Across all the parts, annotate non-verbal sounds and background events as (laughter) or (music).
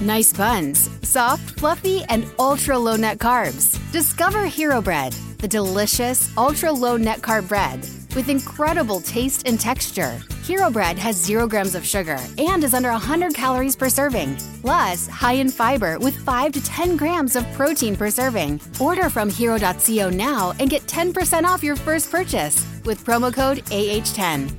Nice buns, soft, fluffy, and ultra low net carbs. Discover Hero Bread, the delicious ultra low net carb bread with incredible taste and texture. Hero Bread has zero grams of sugar and is under 100 calories per serving, plus high in fiber with 5 to 10 grams of protein per serving. Order from hero.co now and get 10% off your first purchase with promo code AH10.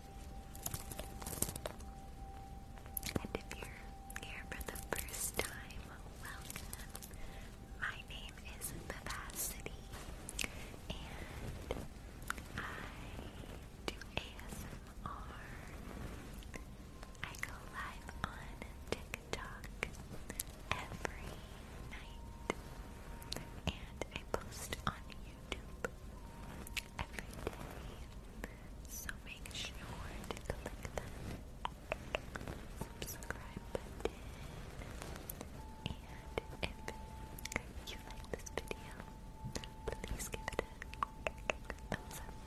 And if you're here for the first time, welcome. My name is Vivacity, and I do ASMR. I go live on TikTok every night, and I post on YouTube. So make sure to click that subscribe button. And if you like this video, please give it a thumbs up.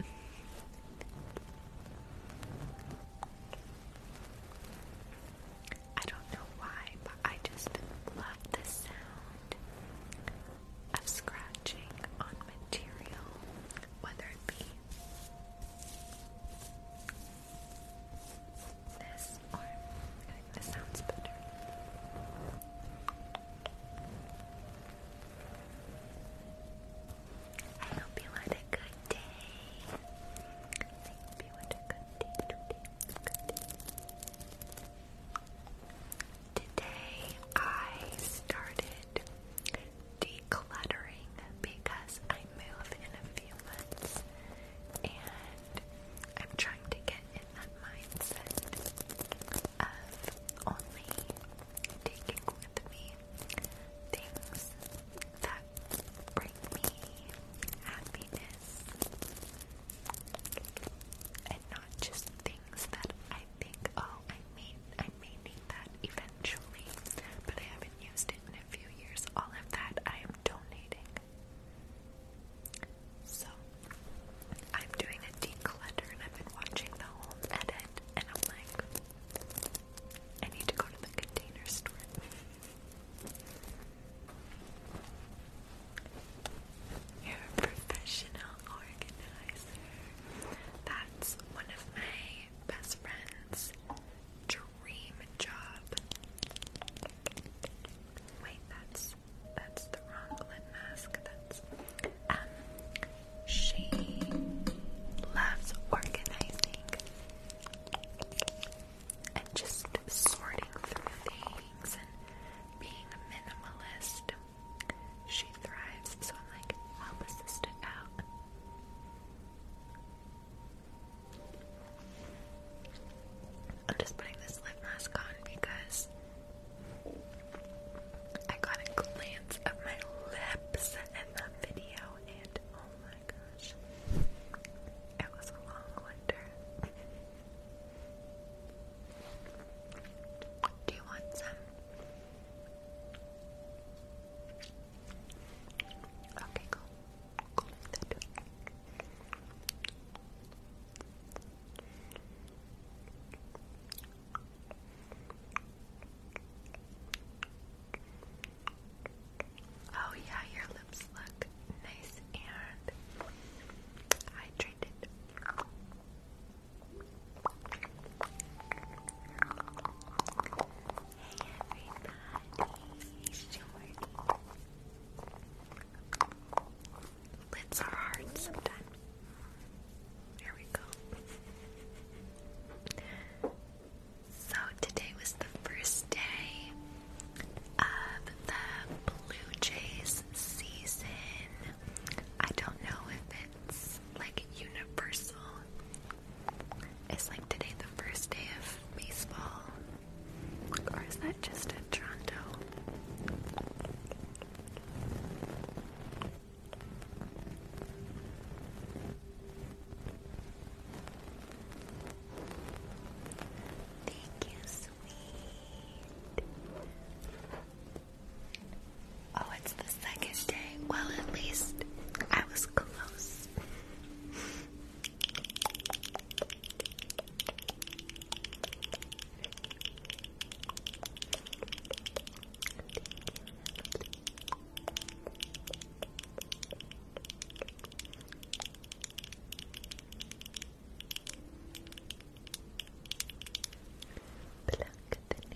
I don't know why, but I just love the sound of scratching on material, whether it be this or this sounds better. I hope you had a good day. I hope you had a good day today. Good day. Today I started decluttering because I move in a few months and I'm trying to get in that mindset of only taking with me things that bring me happiness and not just things that I think, oh, I may, I may need that eventually, but I haven't used it in a few years. All of that I am donating. So, I'm doing a declutter and I've been watching the whole edit, and I'm like, I need to go to the container store. You're a professional organizer. That's one of my best friend's dream job. Wait, that's that's the wrong lid mask. That's um she loves organizing and just sorting through things and being a minimalist she thrives, so I'm like, help a sister out. I'm just putting this lip mask on because I got a glance of my lips in that video, and oh my gosh, it was a long winter. Do you want some? Okay, cool. Oh yeah, your lips look nice and hydrated it's Jordan. Lids are hard sometimes. There we go. So today was the first day of the Blue Jays season. I don't know if it's like universal. It's like today the first day of baseball. Or is that just in Toronto? Thank you, sweet. Oh, it's the second day. Well, at least I was close. Pluck the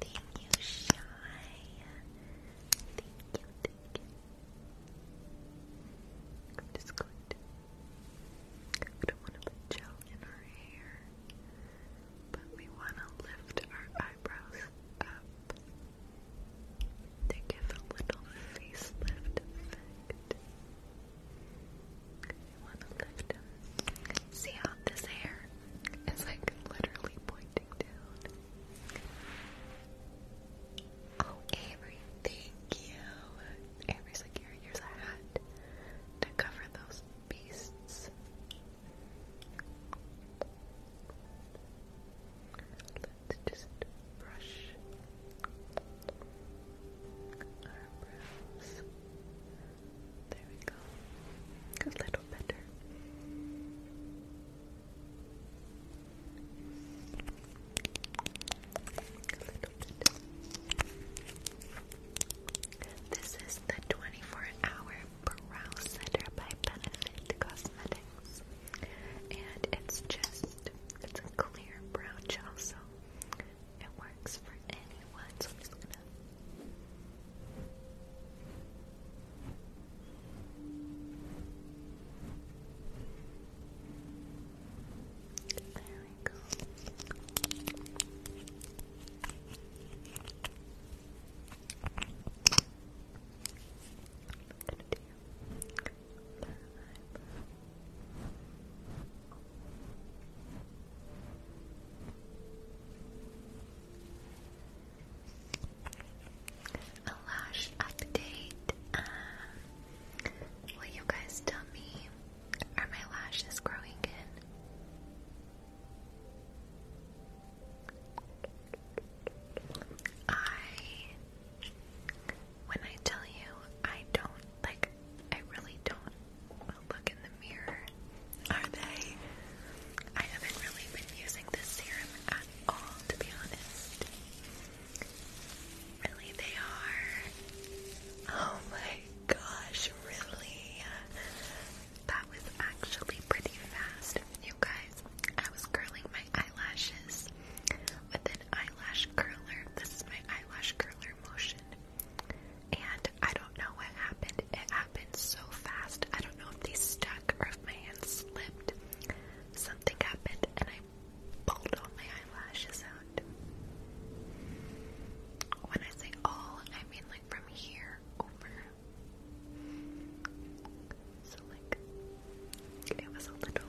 Thank you, Shy. Thank you, thank you. I'm just going to. We don't gel in our hair, but we want to lift our eyebrows up to give a little facelift effect. See how this hair is like literally pointing down. Oh, Avery, thank you. Avery's like, here, here's a hat to cover those beasts let just brush our brows. There we go. A little better. A little bit. This is the 24 hour brow setter by Benefit Cosmetics. And it's just, clear brow gel, so it works for anyone. So I'm just gonna. There we go. i lash update. Uh, will you guys tell me are my lashes growing in? I when I tell you, I don't, like, I really don't look in the mirror. Are they? I haven't really been using this serum at all, to be honest. Really, they are. Oh my gosh, really? That was actually pretty fast. You guys, I was curling my eyelashes with an eyelash curler. This is my eyelash curler motion. And I don't know what happened. It happened so fast. I don't know if they stuck or if my hand slipped. Something happened and I pulled all my eyelashes out. When I say all, I mean like from here over. So like it was a little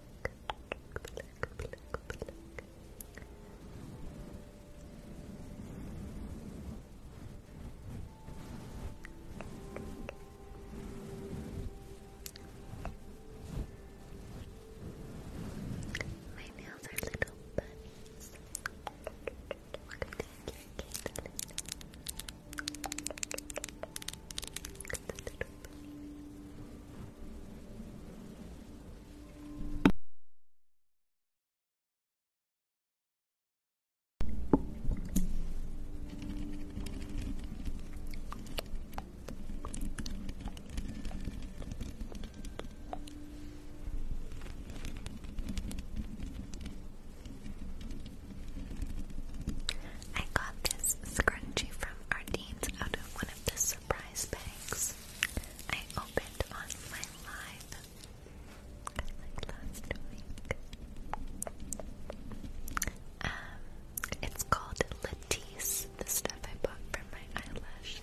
black, black, My nails are little bunnies. I got this scrunchie from our out of one of the surprise bags I opened on my live, um, it's called Latisse, the stuff I bought for my eyelashes.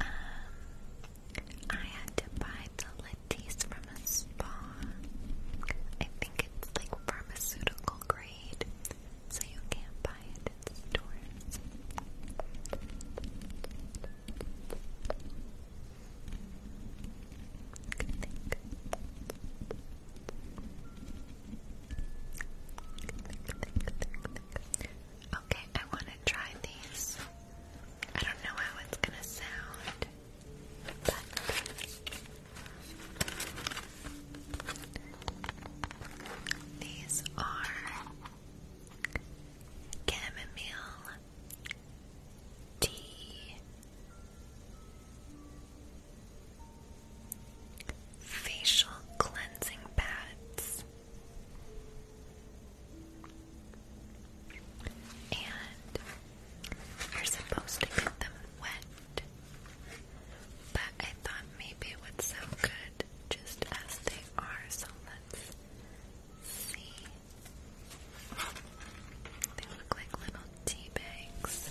Um, I had to buy the Latisse from a spa. I think it's like pharmaceutical grade, so you can't buy it in stores. Okay, I want to try these. I don't know how it's going to sound, but these are chamomile tea facial cleansing pads and you're supposed to get them wet, but I thought maybe it would sound good just as they are, so let's see. They look like little tea bags.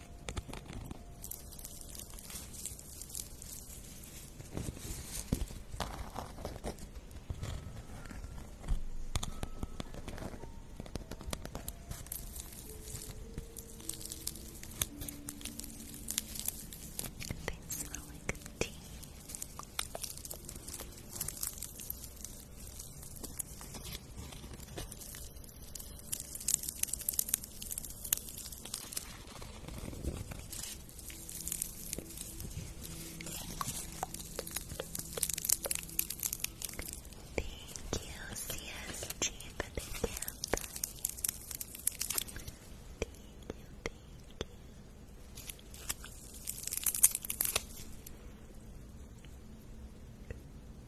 They smell like tea. Thank you, the campfire. you, thank you. Thank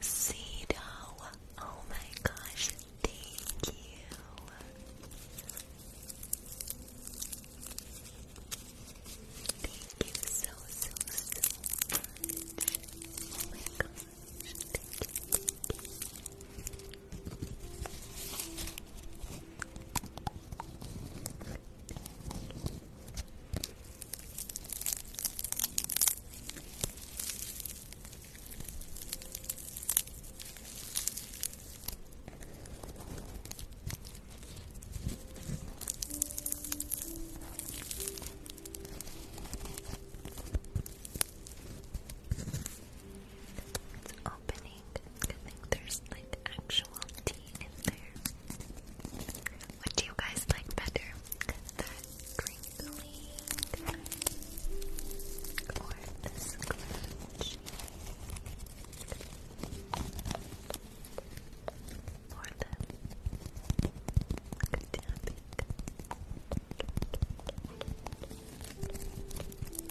Cedo, oh my gosh, thank you. Thank you so, so, so much. Oh my gosh, thank you. Let's open think, there's like actual tea in there. What do you guys like better? That crinkly or Or the good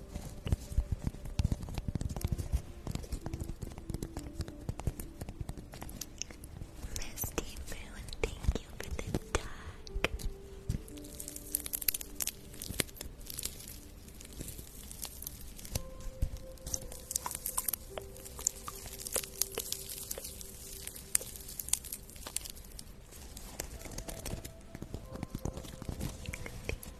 Misty Moon, thank you for the tag.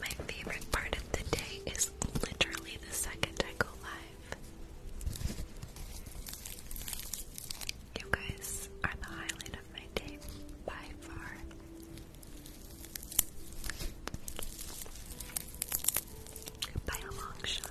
My favorite part of the day is literally the second I go live. You guys are the highlight of my day by far. By a long shot.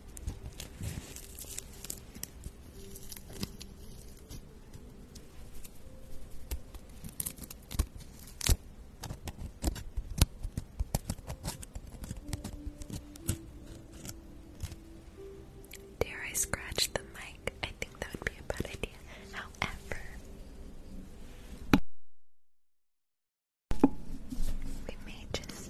Dare I scratch the mic? I think that would be a bad idea. However, we may just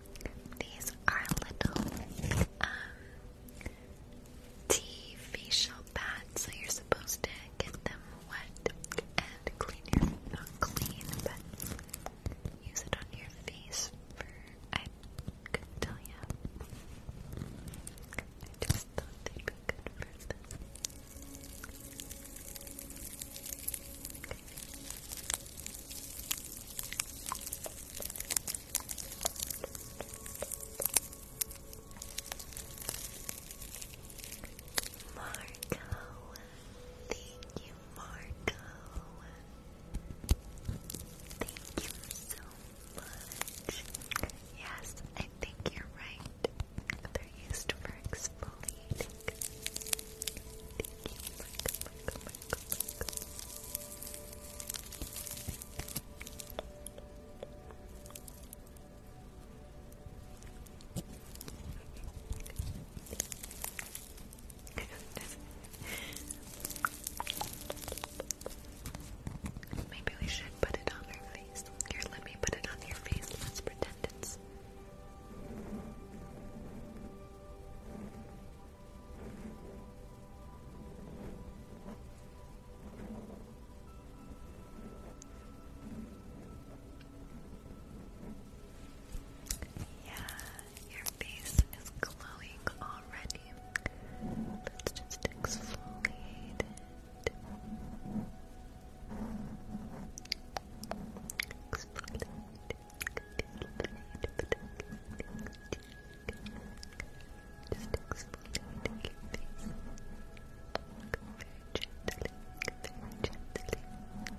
These are little um, tea facial pads, so you're supposed to get them wet and clean your not clean, but use it on your face for I couldn't tell you. I just thought they'd be good for this. Okay. Marco, thank you, Marco. Thank you so much. Yes, I think you're right. They're used for exfoliating. Maybe we should put it on her face. Here, let me put it on your face. Let's pretend it's. Yeah, your face is glowing already. Let's just exfoliate Exfoliate. Just explode your face. Very gently, very gently. Very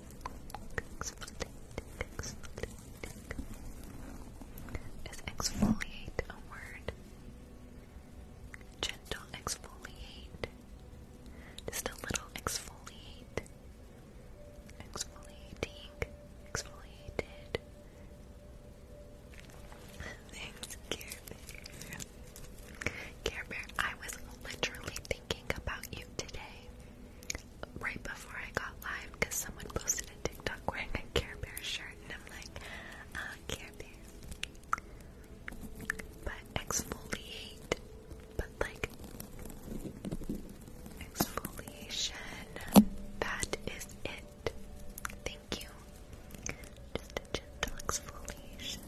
Exfoliate, exfoliate. Is exfoliate a word? Gentle exfoliate. Just a little exfoliate. Exfoliating. Exfoliated. Thanks, Care Bear. Care Bear, I was literally about you today right before I got live because someone posted a TikTok wearing a Care Bear shirt and I'm like, ah, Care Bear. But exfoliate, but like exfoliation, that is it. Thank you. Just a gentle exfoliation.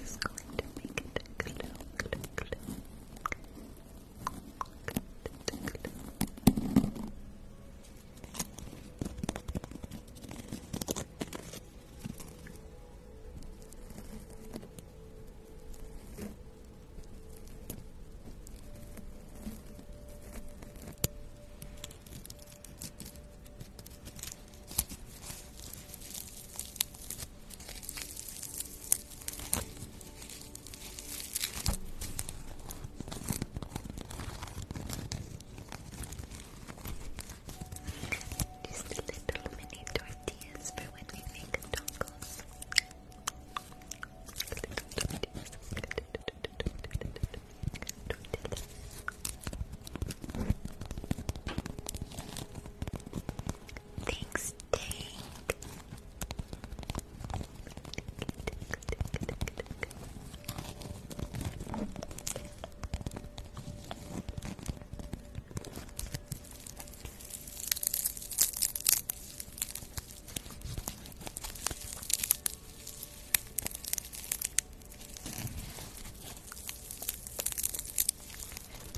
This is going to make it glow, glow, glow. Good, just little mini tortillas for when we make tacos. Thanks, Tank.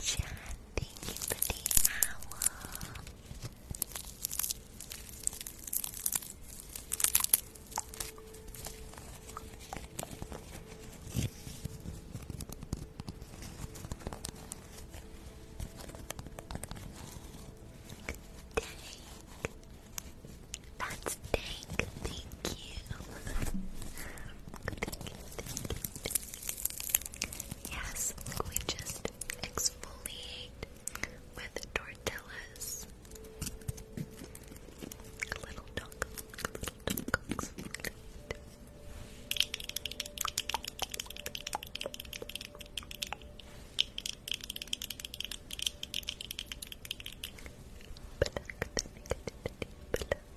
Chad, Thank you for the hour. Dang. That's dank. thank you, thank you. Yes, we just exfoliate with tortillas. Little dunk, little dunks. Black, black, black, you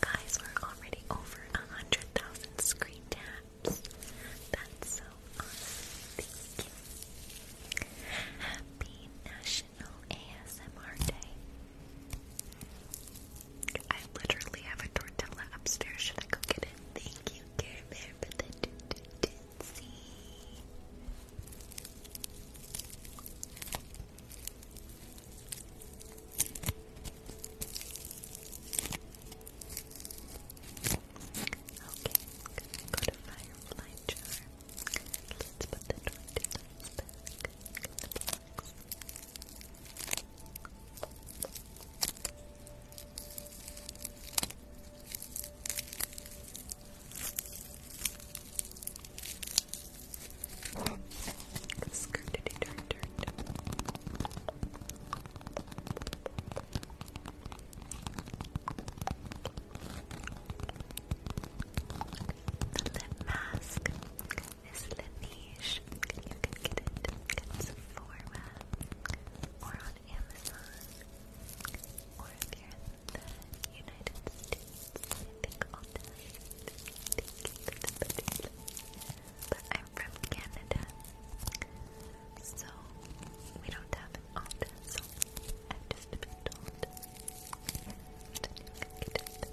guys were already over a hundred thousand screen taps. That's so awesome. Thank you. Happy National ASMR Day. I literally have a tortilla upstairs. Should I go get it? Thank you, Care Okay, go to Firefly Jar. Let's put the tortillas back. Skirtity turn turned. The lip mask. Miss Lavish. You can get it at Sephora or on Amazon. Or if in the United States, I think all the But I'm from Canada, so we don't have an Ulta, so I've just been told that get it.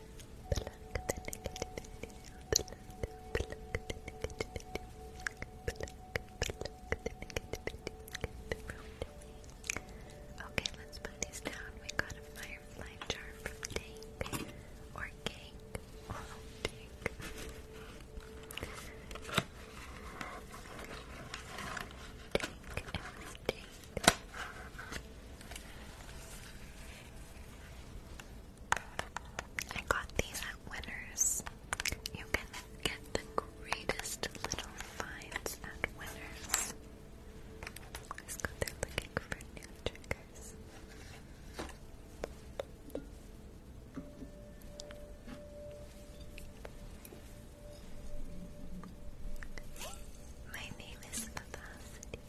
Pluck the Okay, let's put these down. We got a firefly jar from Tank. Or cake. Oh, Tank. Tank. I got these at Winners. You can get the greatest little finds at Winners. let go there looking for new triggers. My name is Vivacity.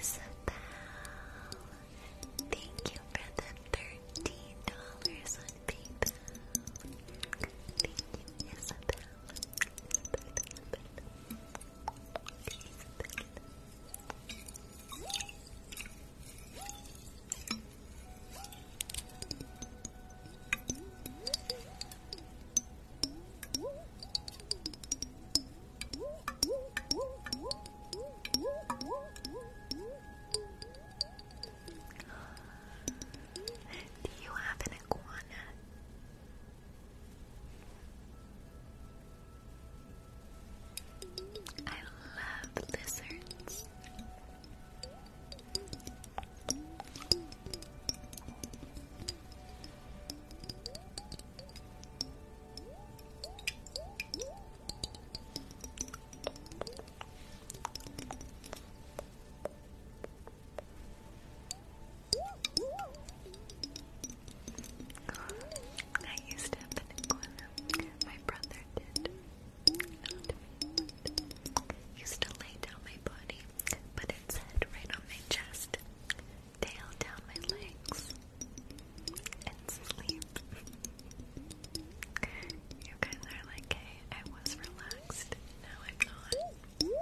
Isabel, Thank you for the thirteen dollars on PayPal. Thank you, Isabel. Do you have an iguana? I love lizards. I used to have an iguana. My brother did. Used to lay down my body, put its head right on my chest, tail down my legs, and sleep. you guys are like, hey, I was relaxed, now I'm not.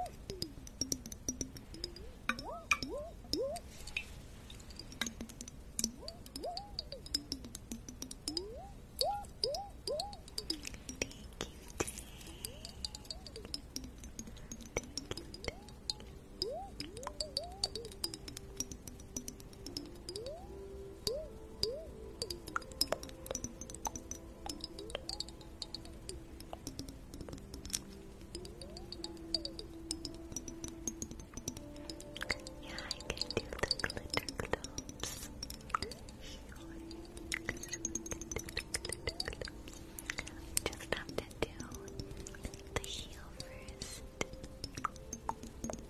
Yeah, I can do the glitter globes. Just have to do the heel first.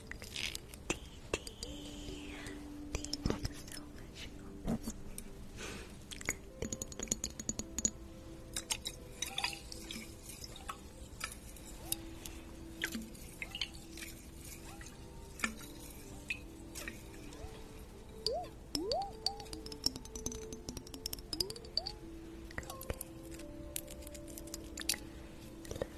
Dee Dee, thank you so much.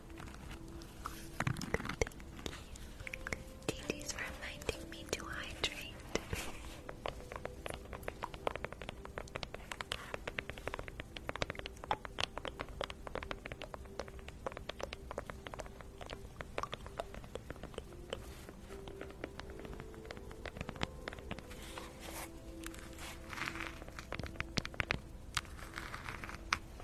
Thank you. Gigi's reminding to hydrate.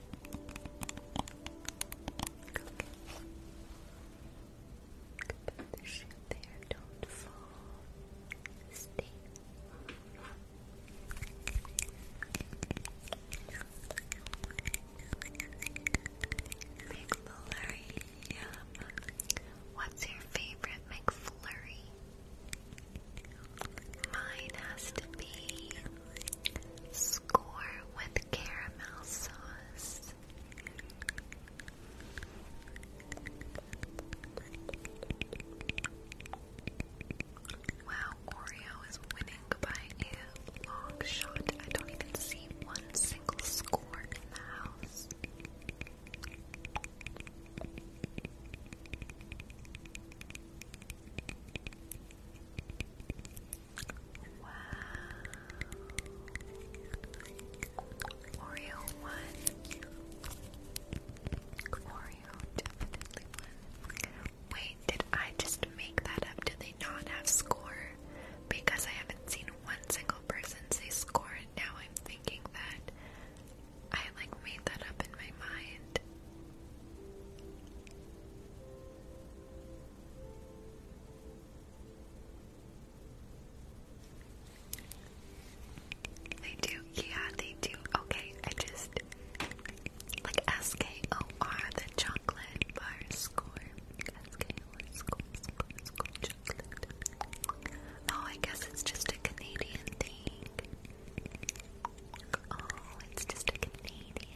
Put the shoe there, don't fall. Stay. McFlurry, yum. What's your favorite McFlurry? Mine has to be with caramel sauce. Wow, Oreo is winning by a long shot. I don't even see one single score in the house. Wow. Oreo one. Oreo definitely one. Wait, did I just make that up? Do they not have score? Because I haven't seen one single person say score, now I'm thinking that I like made that up in my mind. They do, yeah, they do. Okay, I just like S K O R the chocolate bar score. S K O R score, oh, I guess it's just a Canadian thing. Oh, it's just a Canadian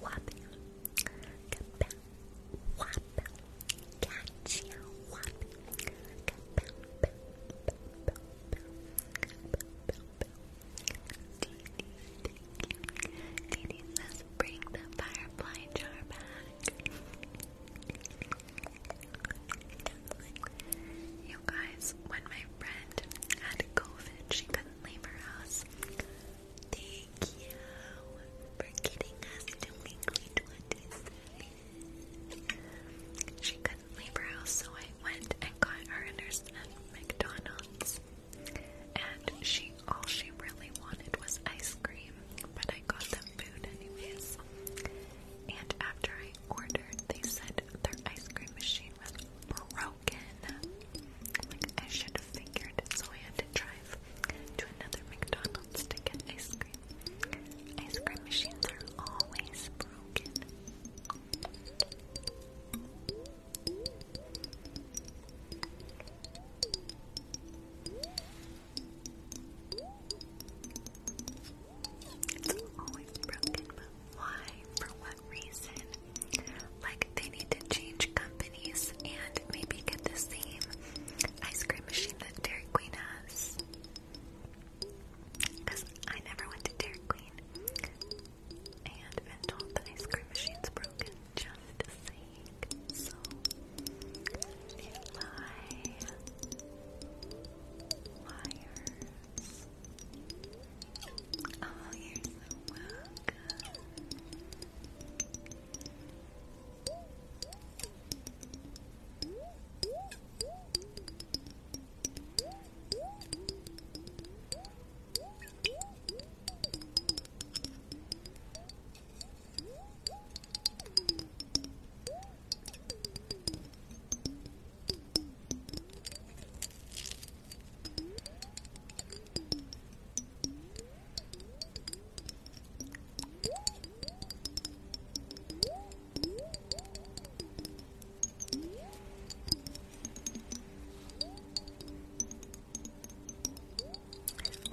wop, wop, wop, gotcha, wop, Dee says, bring the firefly jar back. You guys, when my friend had COVID, she could Labor House. Thank you for getting us to weekly 27. She couldn't leave her house, so I went and got her dinners at McDonald's. And she all she really wanted was ice cream, but I got them food anyways. And after I ordered, they said their ice cream machine was broken broken. I should have figured, so I had to drive to another McDonald's to get ice cream. Ice cream machines are always broken. It's always broken, but why? For what reason? Like they need to change companies and maybe get the same ice cream machine that Dairy Queen has. Because I never went to Dairy Queen and been told the ice cream machine's broken just to sake. So if my liars Oh, you're so welcome.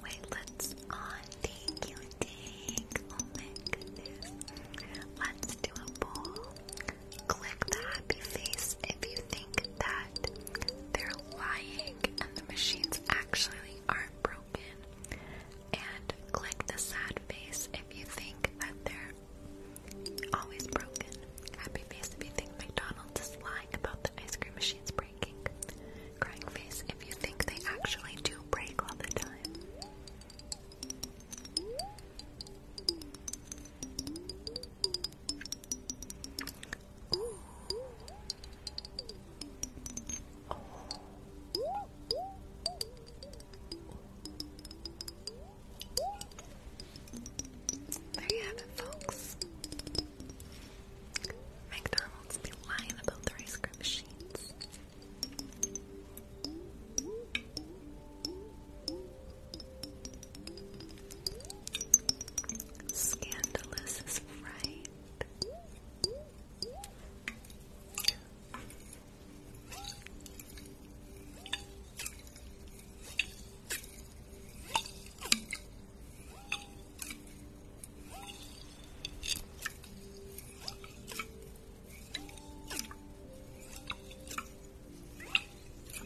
Wait, let's on thank you, thank. Oh let's do a poll. Click the happy face if you think that they're lying and the machines actually aren't broken. And click the sad face if you think that they're always broken. Happy face if you think McDonald's is lying about the ice cream machines breaking. Crying face if you think they actually do break all the time. There you have it, folks. McDonald's be lying about their ice cream machines. Scandalous is right. I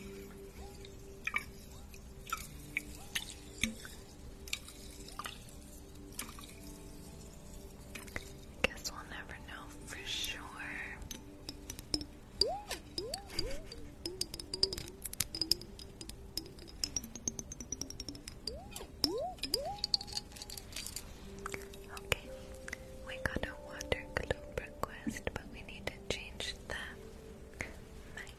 guess we'll never know for sure. Okay, we got a water globe request, but we need to change the mic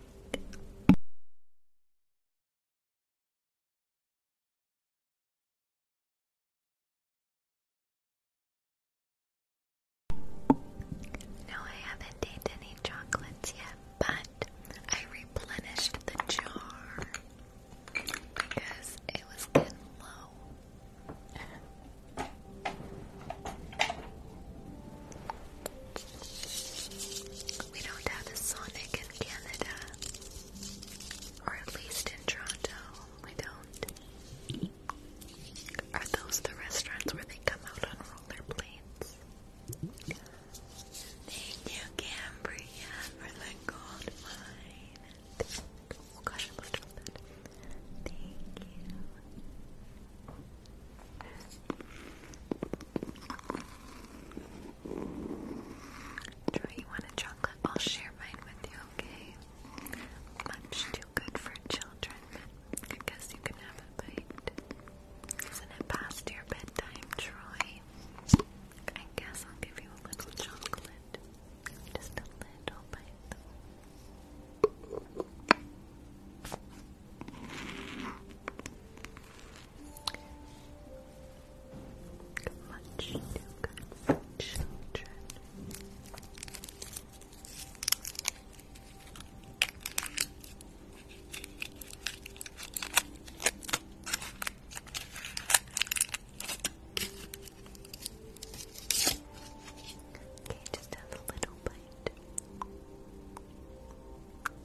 no, I haven't ate any chocolates yet, but I replenished the jar because it was getting low. We don't have a Sonic in Canada. Or at least in Toronto, we don't. Are those the restaurants where they come out on rollerblades? Thank you, Cambria, for the gold mine. Oh gosh, I love that. Thank you. Troy, you want a chocolate? I'll share mine with you, okay? Much too good for children, I guess you can have a bite. Isn't it past your bedtime, Troy? I guess I'll give you a little chocolate. Just a little bite, much too good for Okay, just have a little bite.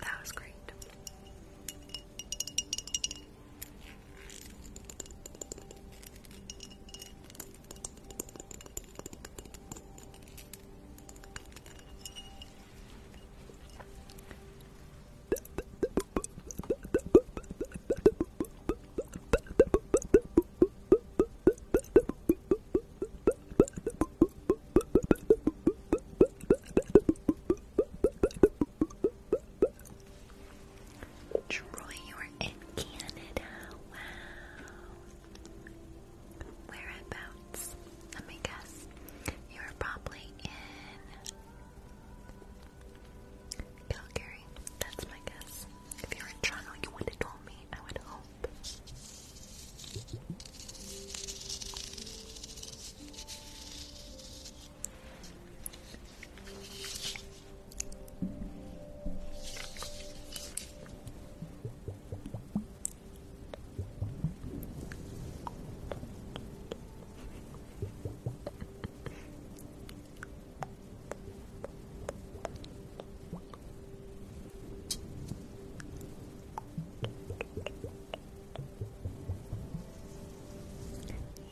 That was great. Troy, you are in Canada. Wow. Whereabouts? Let me guess. You're probably in Calgary. That's my guess. If you're in Toronto, you would have told me. I would hope.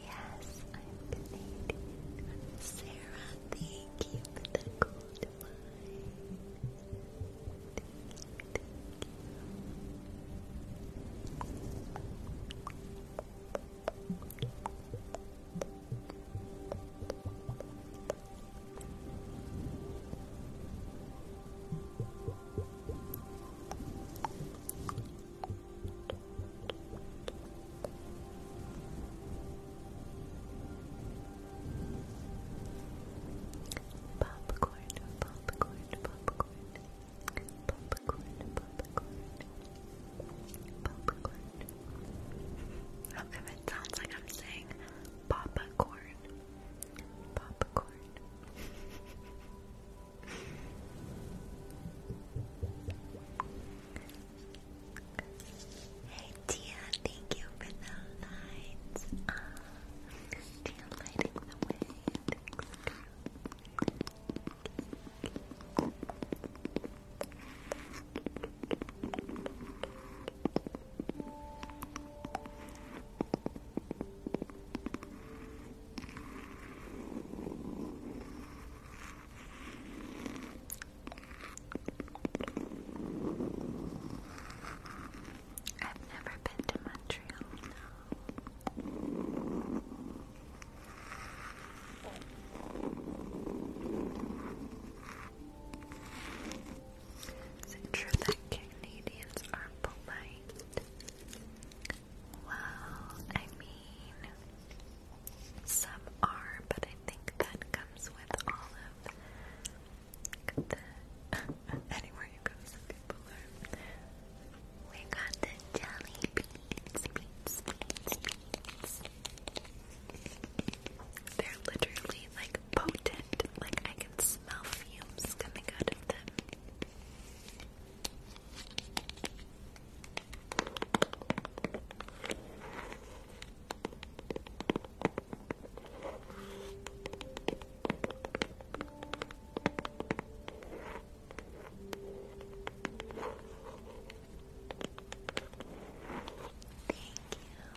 Yes, I'm Canadian. Sarah, thank you the gold wine. thank you. Popcorn, popcorn, popcorn, popcorn, popcorn, popcorn. How come it sounds like I'm saying popcorn. Popcorn. hey Tia, thank you for the lights. Uh, Tia lighting the way. I've never been to Montreal, is it true that Canadians are polite? Well, I mean, some are, but I think that comes with all of the. (laughs) you go, We got the jelly beans. They're literally like potent. Like I can smell fumes coming out of them. Thank you.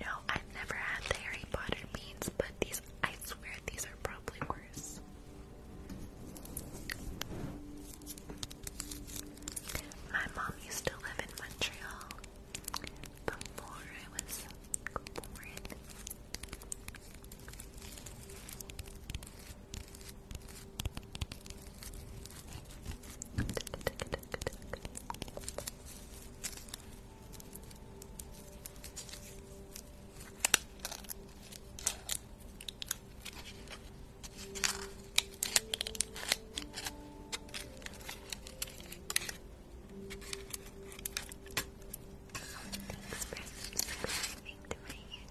No, I've never had Harry Potter beans, but these, I swear, these are probably worse. My mom used to live in Montreal before I was born. Thanks for subscribing to my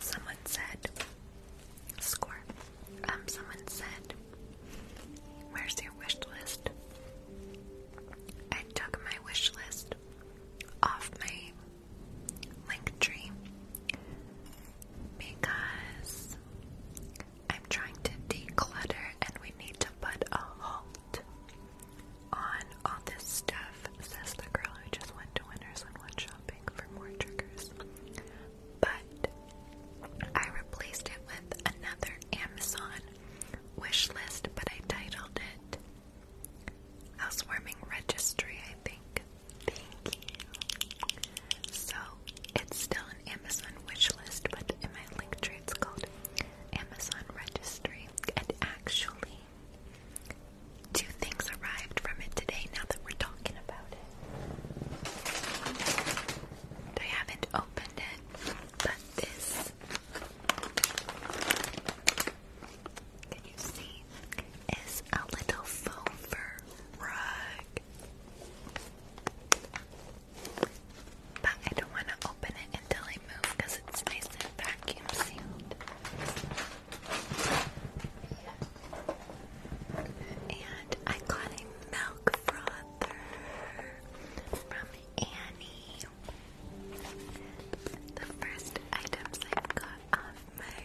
Someone said score um, someone said, Where's your wish list? I took my wish list off my link tree because I'm trying to declutter and we need to put a halt on all this stuff, says the girl who just went to Winners and went shopping for more triggers but I replaced it with another Amazon wish list, but I titled it Housewarming Registry, I think. Thank you. So it's still an Amazon wish list, but in my link tree it's called Amazon Registry. And actually, two things arrived from it today now that we're talking about it. I haven't opened it, but this. Can you see? Is a little faux fur rug. But I don't want to open it until I move because it's nice and vacuum sealed. And I got a milk frother from Annie. The first items I got off my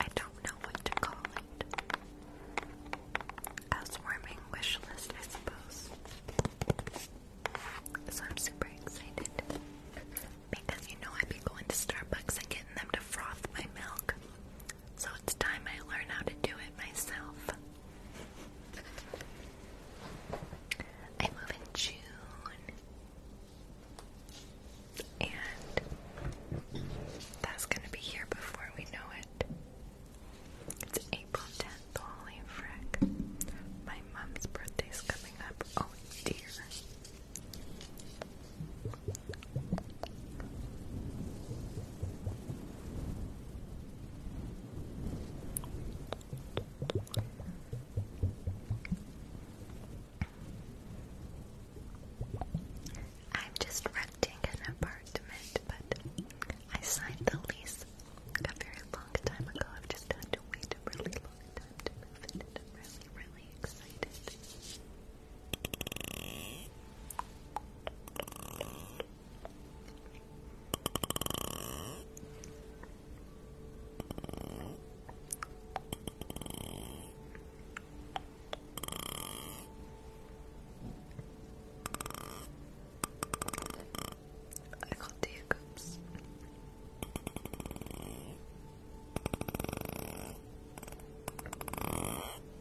I don't know what to call it. Housewarming wish list, I suppose. So I'm super excited. Because you know I'd be going to Starbucks and getting them to froth my milk. So it's time I learn how to do it myself. I move in June. And that's gonna be here before we know it. It's April 10th, holy frick. My mom's birthday's coming up. Oh dear. I'm just renting an apartment, but I signed the lease a very long time ago. I've just had to wait a really long time to move in, I'm really, really excited. I got the hiccups.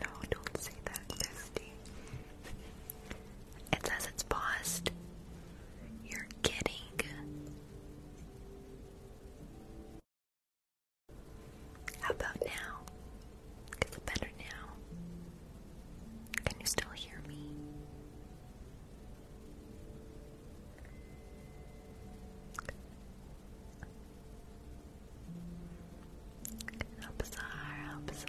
No, don't say that, Misty. It says it's paused. You're kidding. How about now? Is better now? Can you still hear me? How bizarre, how bizarre.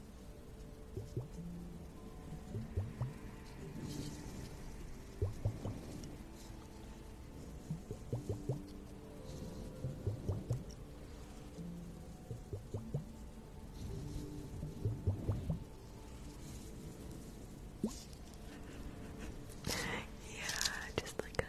yeah, just like a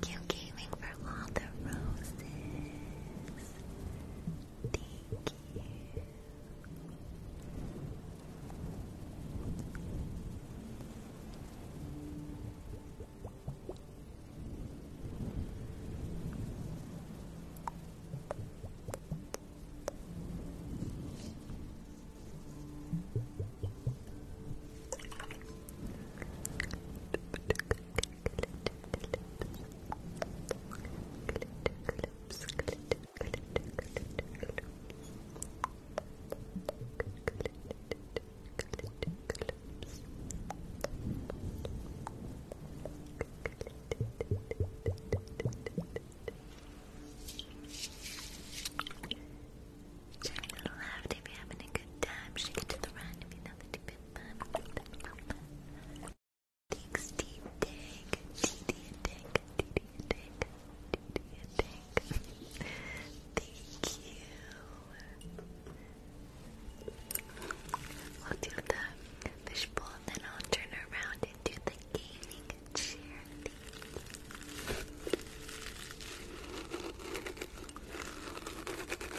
Thank you, Gaming, for all the roses. Thank you. Turn it all out if having a good time. Shake it to the right if you know that you Thanks, Team Tank. TD and Tank. TD and Tank. TD Thank you. We'll do the fishbowl and then I'll turn around and do the gaming chair. Thank you.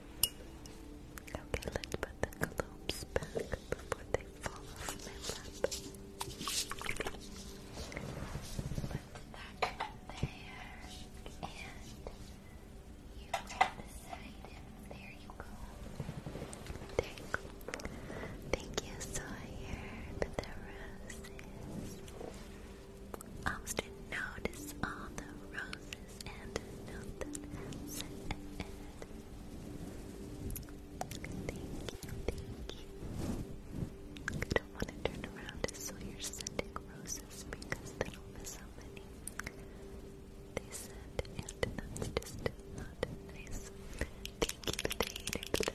Okay, let's put the globes back before they fall off my lap. Put that there, and you on the side, there you go. There you go. Thank you, Sawyer, the roses. Austin noticed all the roses. Moses and Nathan said. Thank you, thank you. I don't want to turn around so you're sending roses because they don't miss many they send, and that's just not nice. Thank you for the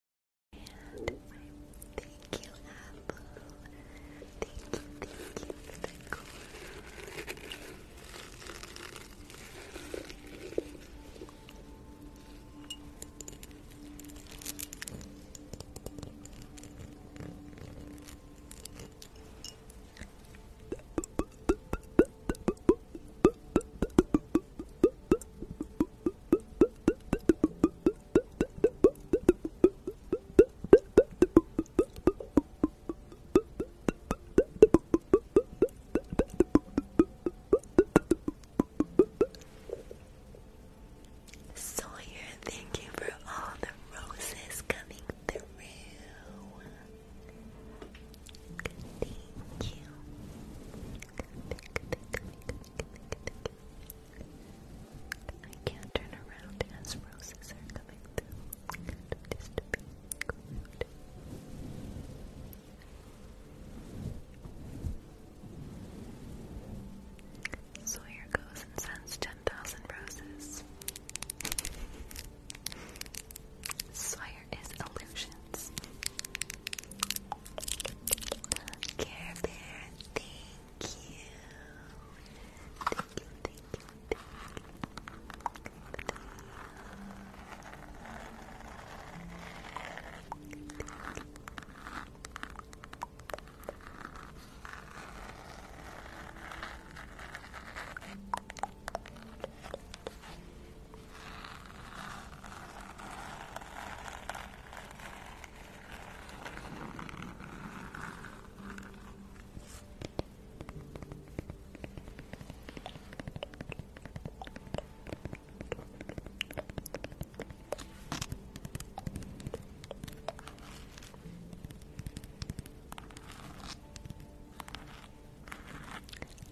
And thank you, Apple. Thank you, thank you for the Sawyer, thank you for all the roses coming through. Thank you. I can't turn around as roses are coming through. Kind of goes and sends 10,000 roses. Sawyer is illusions. Care Bear, thank you. Thank you, thank you, thank you.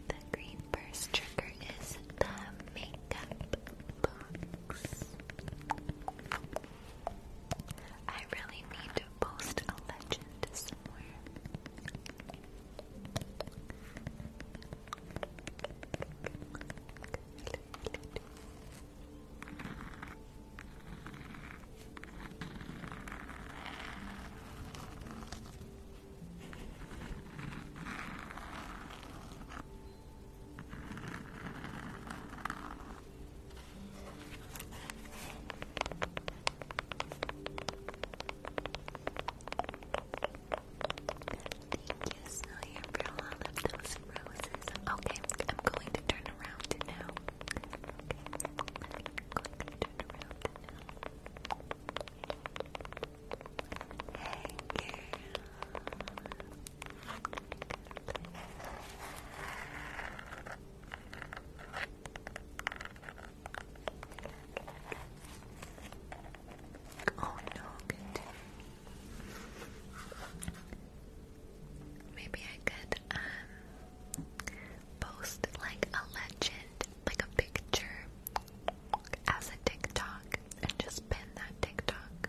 The green burst trigger is the makeup bomb. I really need to post a legend somewhere. Thank you, Sawyer, for all of those roses. Okay, I'm going to turn around now. Okay, I'm going to turn around now. Hey, Oh no, good. Maybe I could um post like a legend, like a picture as a TikTok and just pin that TikTok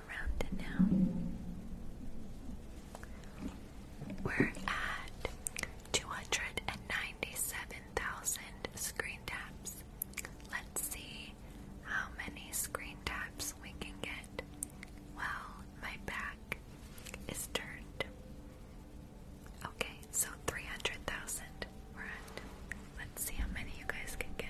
We're at 297,000 screen taps. Let's see how many screen taps we can get. Well, my back is turned. Okay, so 300,000 we're at. Let's see how many you guys can get.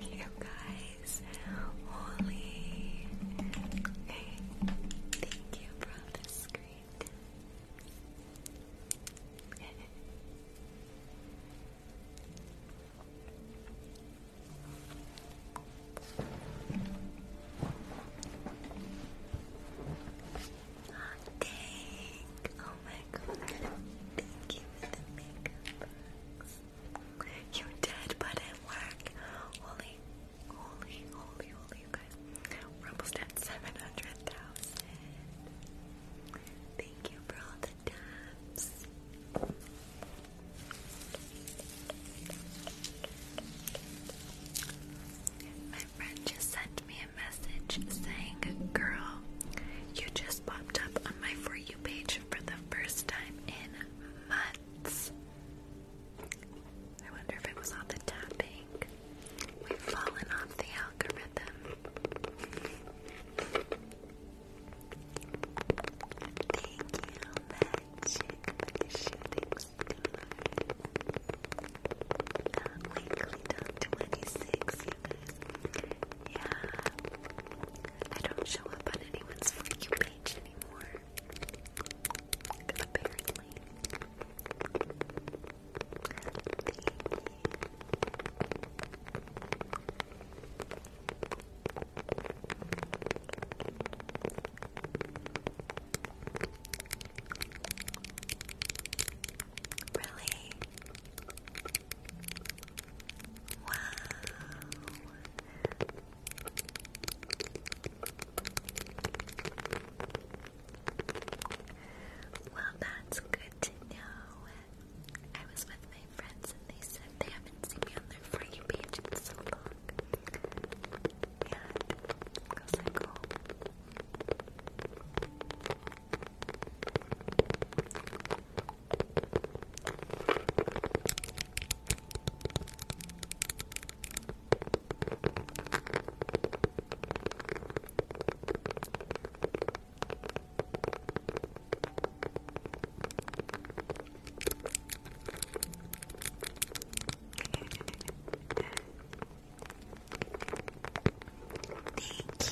You guys, holy. thank you for the screen. (laughs) Dang. Oh my god. Thank you makeup box. You did, but it worked. Holy, holy, holy, holy, you guys. we at 700,000. Thank you for all the taps. My friend just sent me message saying, Girl, you just popped up on my For You page for the first time in months. I wonder if it was all the tapping. We've fallen off the algorithm. Thank you, Magic, for the uh, weekly Talk 26, you yeah. I don't show up on anyone's For page anymore. Apparently. Really? Wow. Well, that's good to know. I was with my friends and they said they haven't seen me on their For You page in so long. Yeah, because I Thank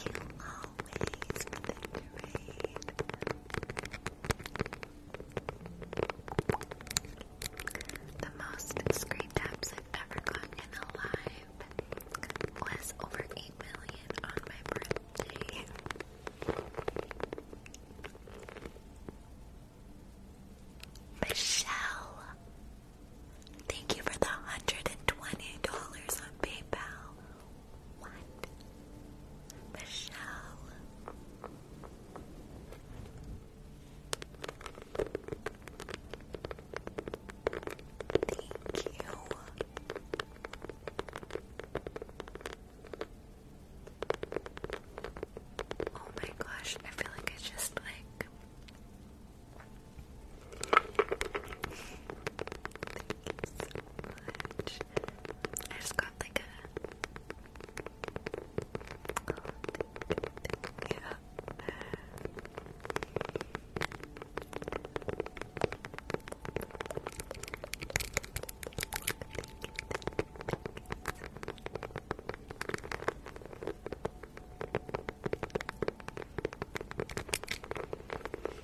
you all the most screen taps I've ever gotten in was over 8 million on my birthday. Michelle, thank you for the $120 on PayPal. What? The Thank you. Oh my gosh, I feel like it's just like I just got like a. Yeah. thank you.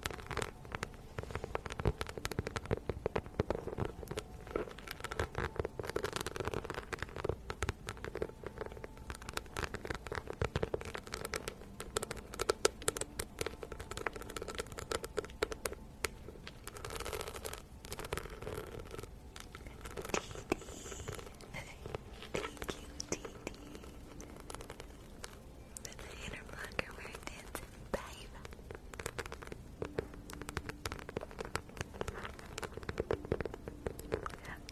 Thank you, Dee Dee. the inner blocker work?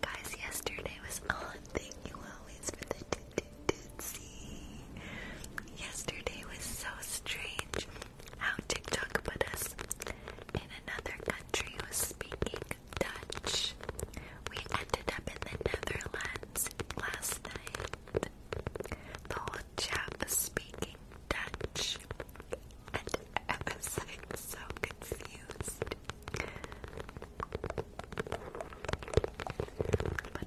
Guys, yesterday was on. Oh, thank you the tootsie. Yesterday was so strange how TikTok put us in another country who was speaking Dutch. We ended up in the Netherlands last night little chap speaking Dutch, and I am so confused. But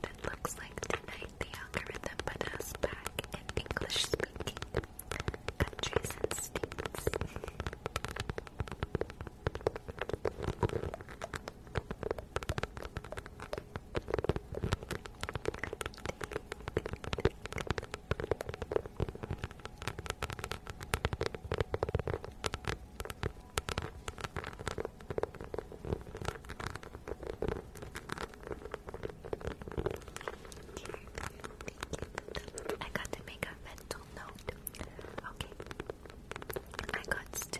it looks like tonight the algorithm put us back in English speaking countries and states. I got to make a mental note. Okay. I got to do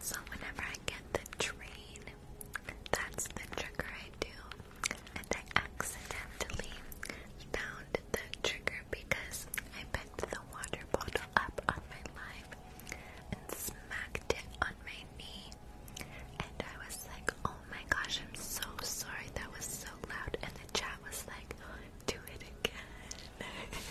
So, whenever I get the train, that's the trigger I do. And I accidentally found the trigger because I picked the water bottle up on my live and smacked cracked it on my knee. And I was like, oh my gosh, I'm so sorry. That was so loud. And the chat was like, do it again. (laughs)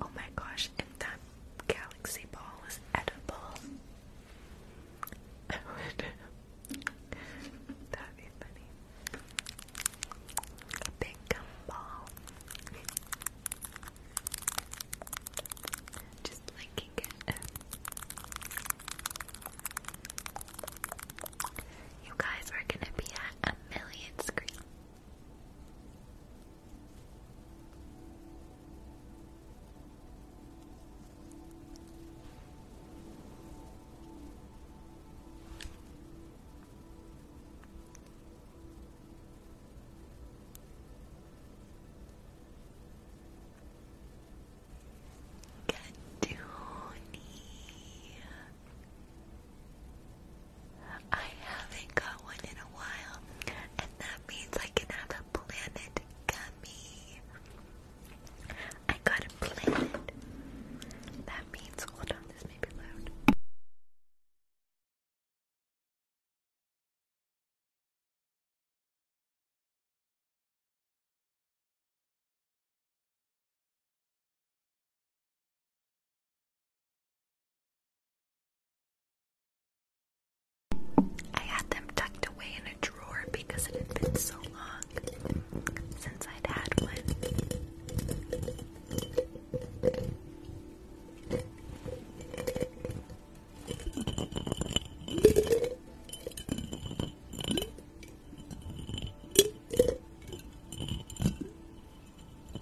Oh my gosh, and that galaxy ball is edible. That'd be funny. A big gumball. Just linking it. You guys are gonna be at a million screens. Katoonie. I haven't got one in a while, and that means I can have a planet gummy. I got a planet. That means, hold on, this may be loud. I had them tucked away in a drawer because it had been so long since I'd had one. We got to a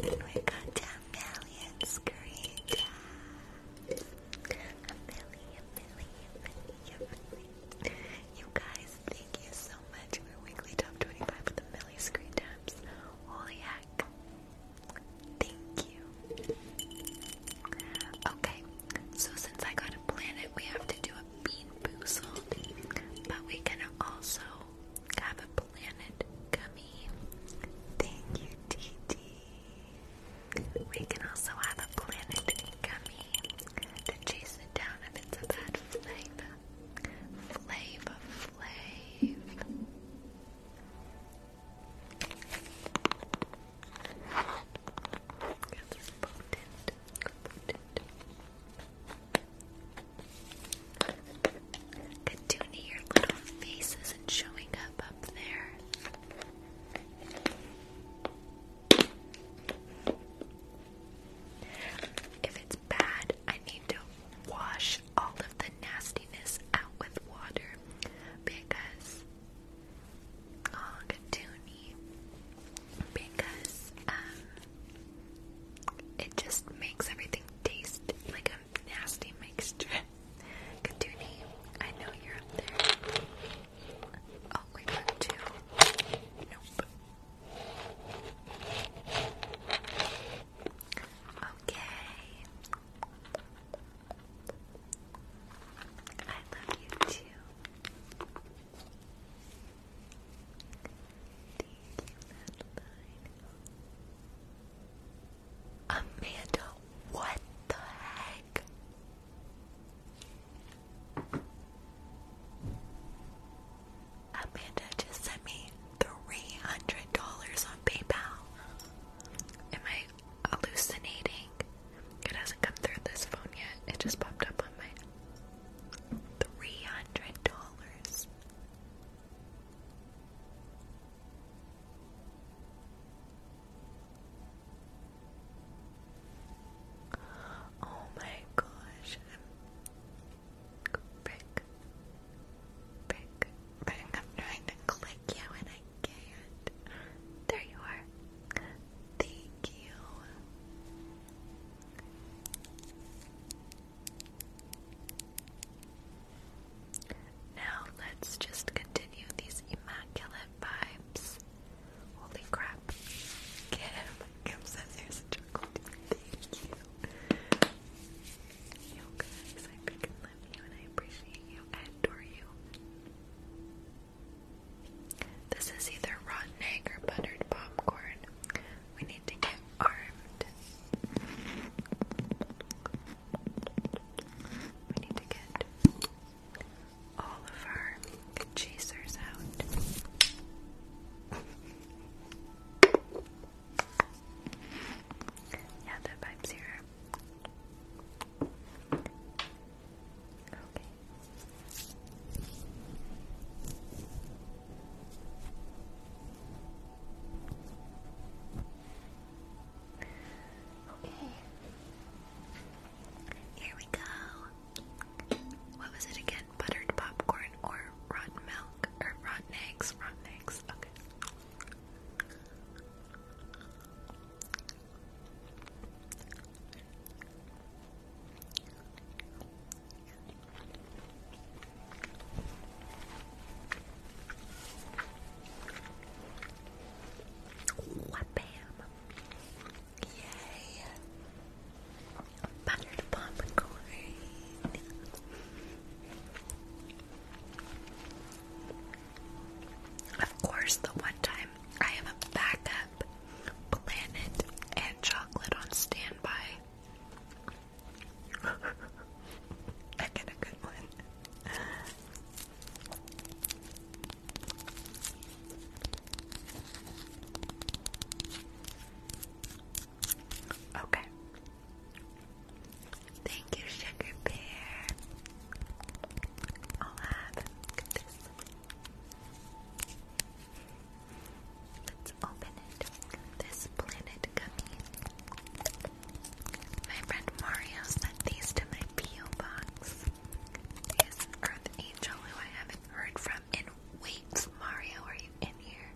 million screens. A million, million, million, million. You guys, thank you so much for weekly top 25 with a million screen times. Holy heck. Thank you. Okay, so since I got a planet, we have to do a bean boozled, but we can also have a planet gummy. Thank you, TT. We can also have a planet gummy to chase it down if it's a bad flavor. Flavor, flav. It's potent, potent. your little face isn't showing up up there. If it's bad, I need to wash all of the nastiness out with water because Ogduni because um, it just makes everything taste like a nasty mixture. (laughs) Katuni, I know you're up there. Oh, we got two. Nope. Okay. I love you too. Amanda, what the heck? Amanda just sent me $300 on PayPal. Am I hallucinating. It hasn't come through this phone yet. It just popped up on my three hundred dollars. Oh my gosh. Brick. Brick. Brick. I'm trying to click you and I there you are. Thank you. Now let's just continue these immaculate vibes. Holy crap. Kim. Kim says there's a chocolate. Thank you. You guys, I love you and I appreciate you. I adore you. This is either rotten egg or buttered popcorn. We need to get armed. We need to get all of our chasers out. yeah, that vibes here. Okay. Okay. Here we go. What was it again? Buttered popcorn or rotten milk or rotten eggs? Rotten eggs. Okay. Wham! Yay! Buttered popcorn. Of course, the one time I have a backup planet and chocolate on standby. (laughs) I get a good one. Okay. Thank you, Sugar Bear. I'll have this. Let's open it. This planet gummy. My friend Mario sent these to my P.O. box. His Earth Angel, who I haven't heard from in weeks. Mario, are you in here?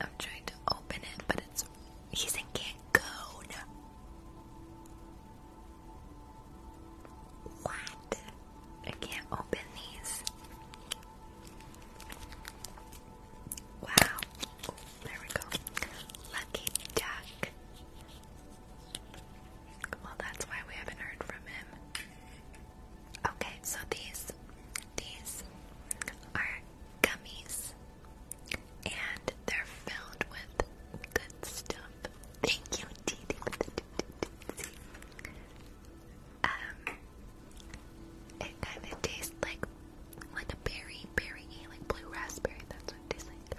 I'm trying to open it, but it's he's in Cancun. What? I can't open these. Wow. there we go. Lucky duck. Well, that's why we haven't heard from him. Okay, so these these are gummies and they're filled with good stuff. Thank you, Didi. Um it tastes like like a berry, berry, like blue raspberry, that's what it tastes like.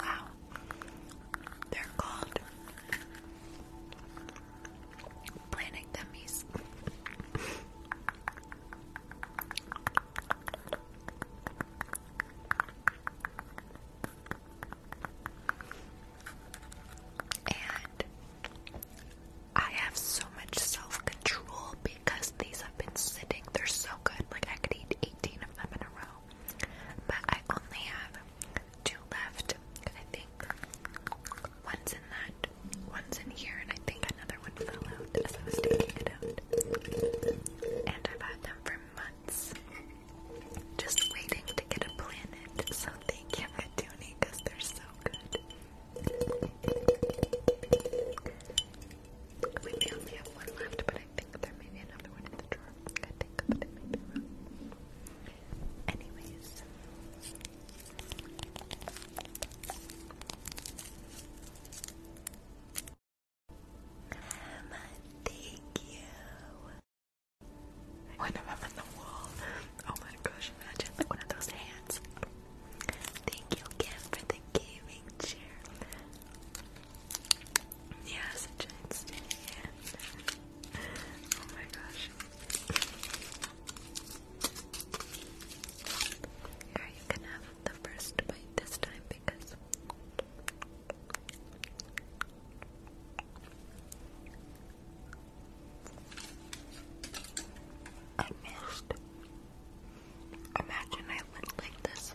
Wow, they're called Planet gummies. And I have so much self control because these have been sitting. They're so good. Like, I could eat 18 of them in a row. But I only have two left. I think one's in that, one's in here, and I think another one fell out as I was taking it out. And I've had them for months, just waiting to get a planet. So thank you, Matuni, because they're so good. We only have one left, but I think there may be another one in the drawer. I think, but it may be wrong. Anyways. thank you. One of them on the wall. Oh my gosh, imagine like one of those hands. Thank you again for the gaming chair. Yeah, such a instant Oh my gosh. Here, you can have the first bite this time because. I missed. Imagine I went like this.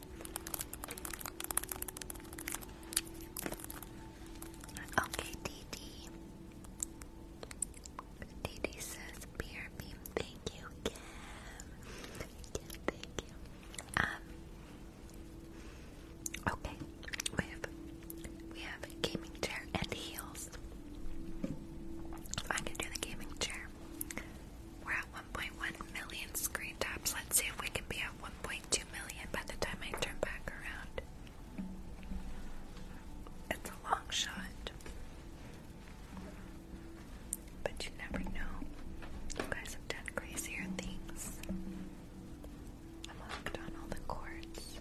Okay, DD. DD says beer beam. Thank you, Kim. Kim, thank you. Um. Okay, we have we have gaming chair and heels. I can do the gaming chair. We're at 1.1 million screen taps. Let's see if we can be at 1.2 million by the time I turn back around. It's a long shot. But you never know. You guys have done crazier things. I'm hooked on all the chords.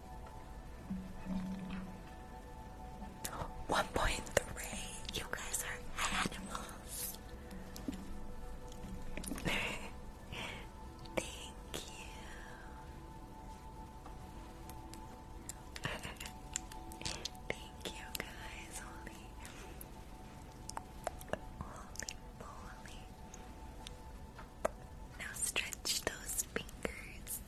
1.3. You guys are animals. (laughs) Thank you. (laughs) Thank you guys. Holy, holy, holy. Now stretch those fingers. (laughs)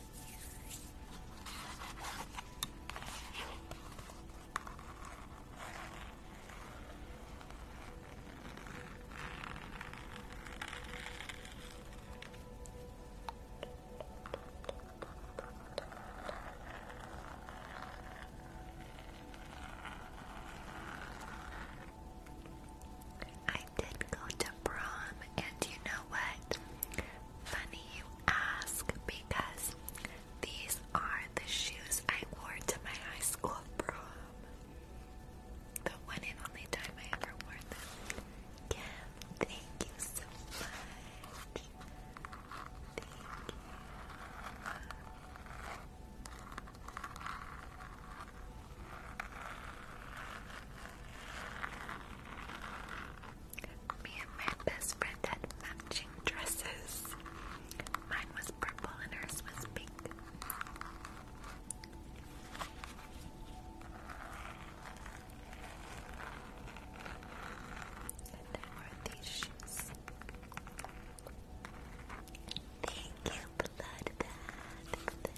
I did go to prom, and you know what? Funny you ask, because these are the shoes I wore to my high school prom. The one and only time I ever wore them. Kim, thank you so much. Me and my best friend had matching dresses. Mine was purple and hers was pink. And there were these shoes. Thank you, Blood Bath, for the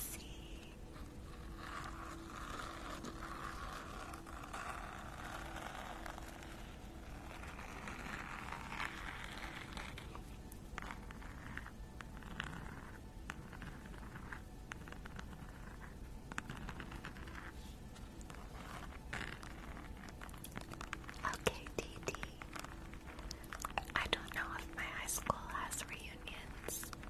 see. Okay, DD. I don't know if my high school has reunions.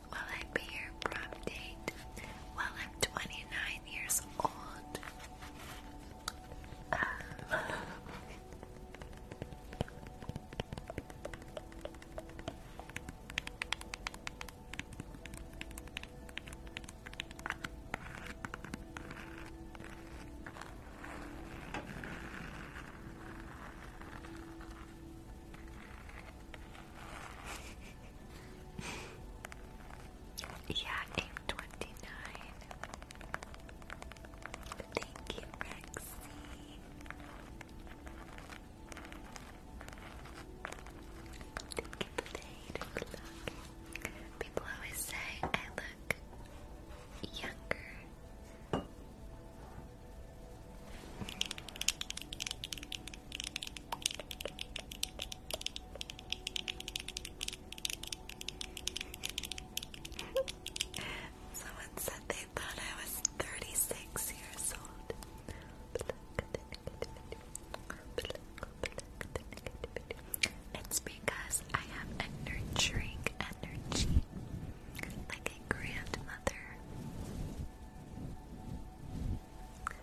Will I be your prom date? Well, I'm 29 years old. (laughs) yeah, aim twenty nine. Thank you, Rexy. Thank you for the eight o'clock. People always say I look younger. (laughs) Someone said they thought I was 36 years old. It's because I have a nurturing energy, like a grandmother.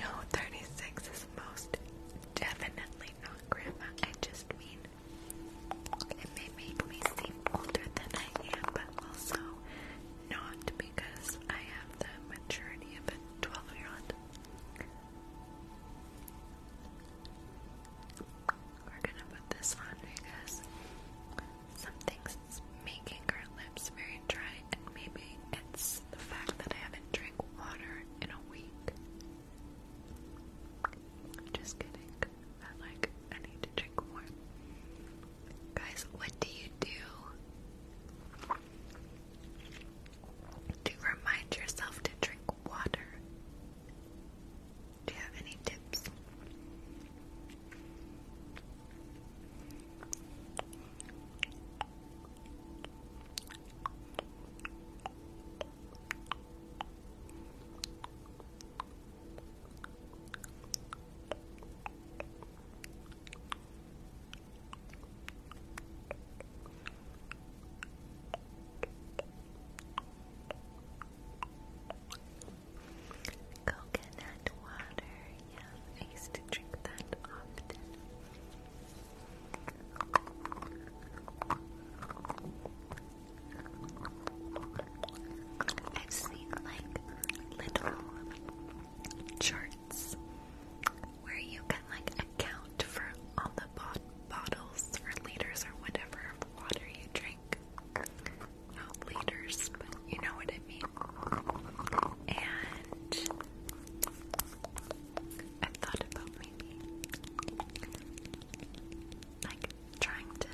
No, 36 is most definitely not grandma. I just mean it may make me seem older than I am, but also not because I have the maturity of a 12 year old. We're gonna put this on because Something's making our lips very dry, and maybe it's the fact that I haven't drank water in a week. Just kidding. I like, I need to drink more. Guys, what do you do to remind yourself to drink water? Do you have any tips? Coconut water yeah, I used to drink that often. I've seen like little charts where you can like account for all the bottles or liters or whatever water you drink. Not liters, but you know what I with me. And i thought about maybe like trying to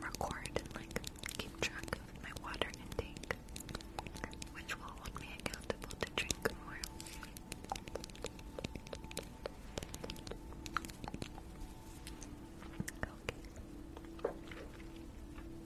record like keep track my water intake, which will hold me to drink more.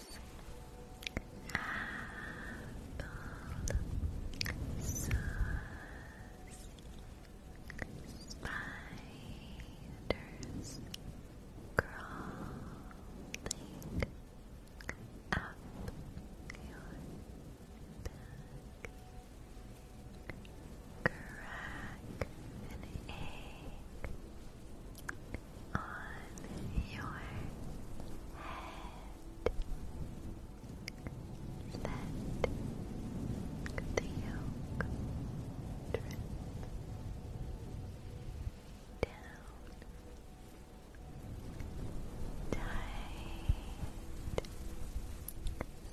Apple sauce. Spiders crawling up your back. Crack an egg on your head. Let the yolk down. Tight.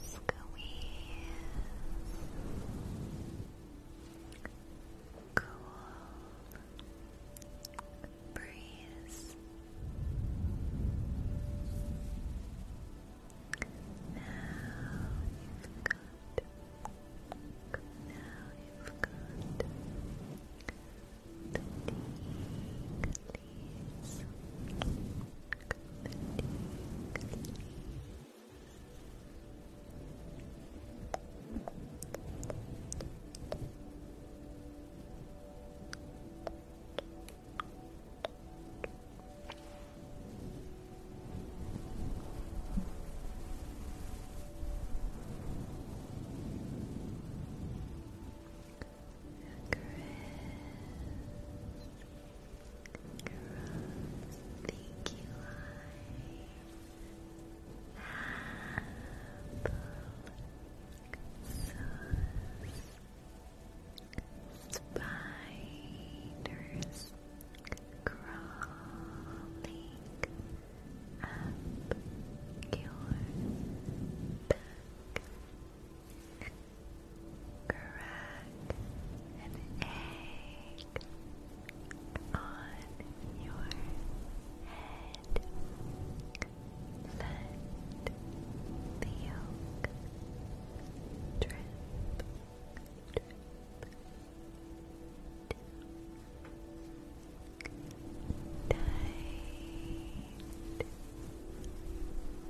Squeeze cool breeze now you've got now you've got the leaves the leaves Chris, Chris, thank you, I. Spiders crawling up your back. Crack an egg on your head. Let the yolk drip, drip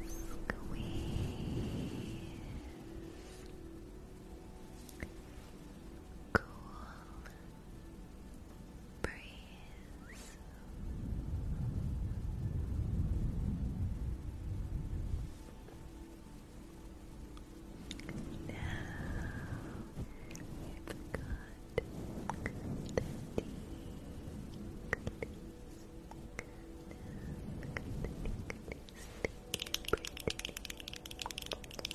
squeeze. Cool breeze. Now we've got the tea. Now we've got the tea. Pretty.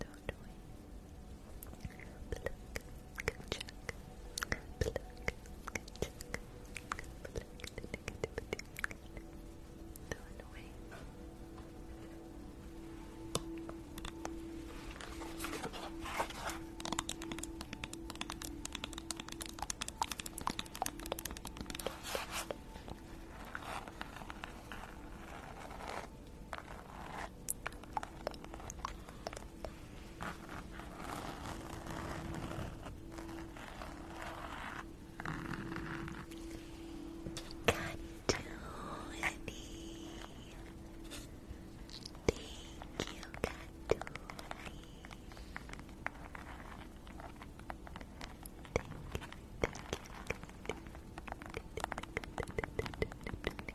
don't we? Pluck, good check. Pluck, good check. Pluck, don't we? Pluck, Got to honey. Thank you, got to honey. Thank you, thank you.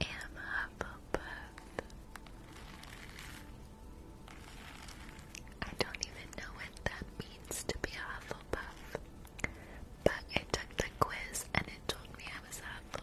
am Hufflepuff. I don't even know what that means to be a buff, But I took the quiz and it told me I was a buff.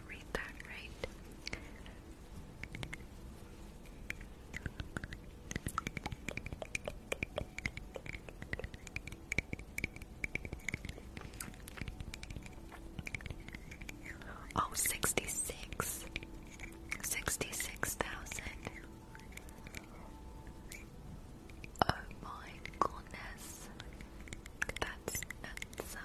I read that right? Oh, 66. Oh my goodness. That's so.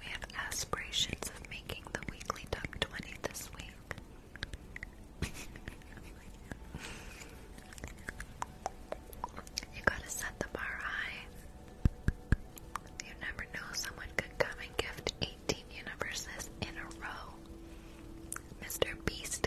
We have aspirations of making the weekly top 20 this week. you gotta set the bar high. You never know, someone could come and gift 18 universes in a row. Mr. Beast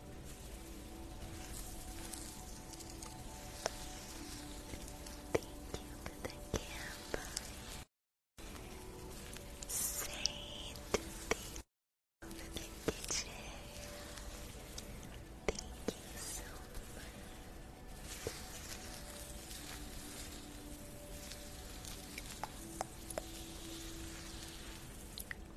Thank you for the camp. thank you for the kitchen. Thank you so much.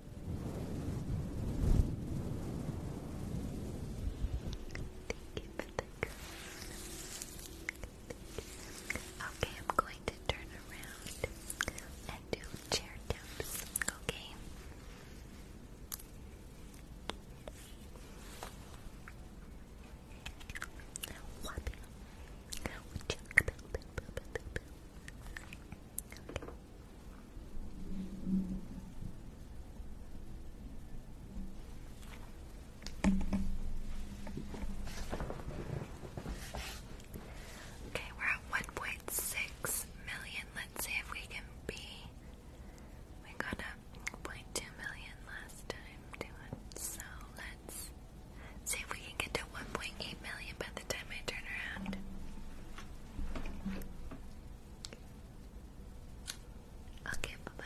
Thank you Okay, I'm going to turn around and do chair taps, Okay. Okay, we're at one point six million. Let's see if we can be. We got a point two million last time doing so. Let's see if we can get to one point eight million by the time I turn around. Okay, bye bye.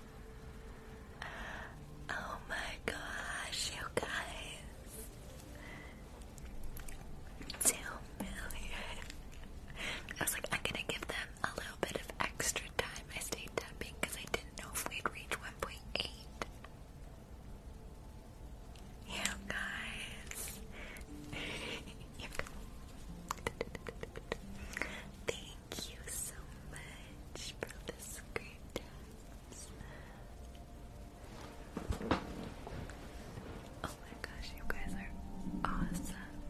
Oh my gosh, you guys. Two million. I was like, I'm gonna give them a little bit of extra time. I stayed tapping because I didn't know if we'd reach 1.8. You guys. you guys. (laughs) (laughs) Thank Thank you so much for this great time. Oh my gosh, you guys are awesome.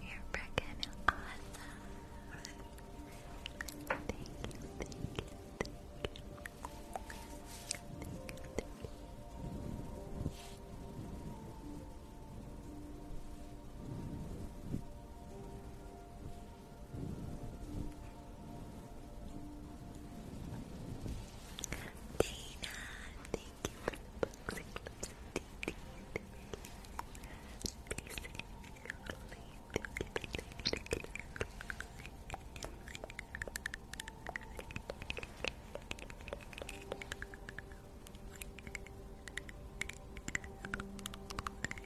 You're freaking awesome. Thank you, Dana, thank you for the box. Thank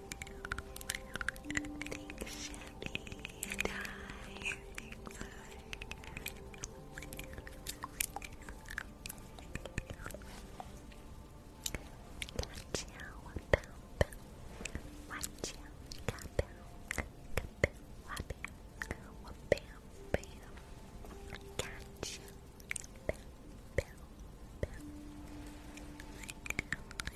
Thanks, Chevy. And I. Thanks, Watch out, pound. Watch out, kapow. Kapow, wabam. Bam, bam. Gotcha. Bam, bam, bam.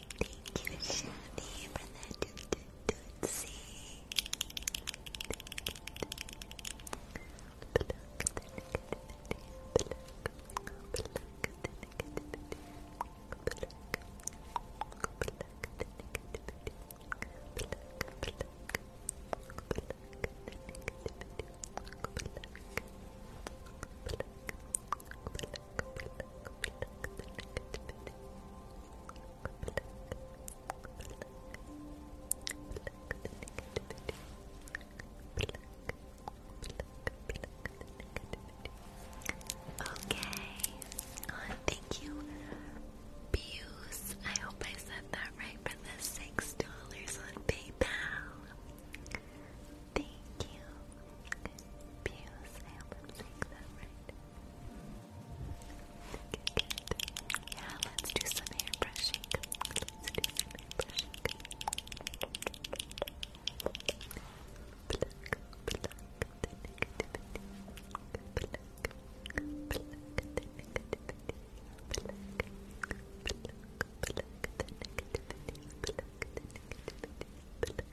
Thank you, Shadi, for that tootsie. Okay. thank you, Buse. I hope I said that right for the six dollars on PayPal. Thank you, Buse. I hope I'm that right. Good. Yeah, let's do some hair brushing. Let's do some hair brushing. Pluck, pluck the negativity. Pluck, pluck the negativity. Pluck, pluck, pluck the negativity. Pluck the negativity. Pluck,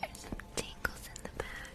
There's some tangles in the back.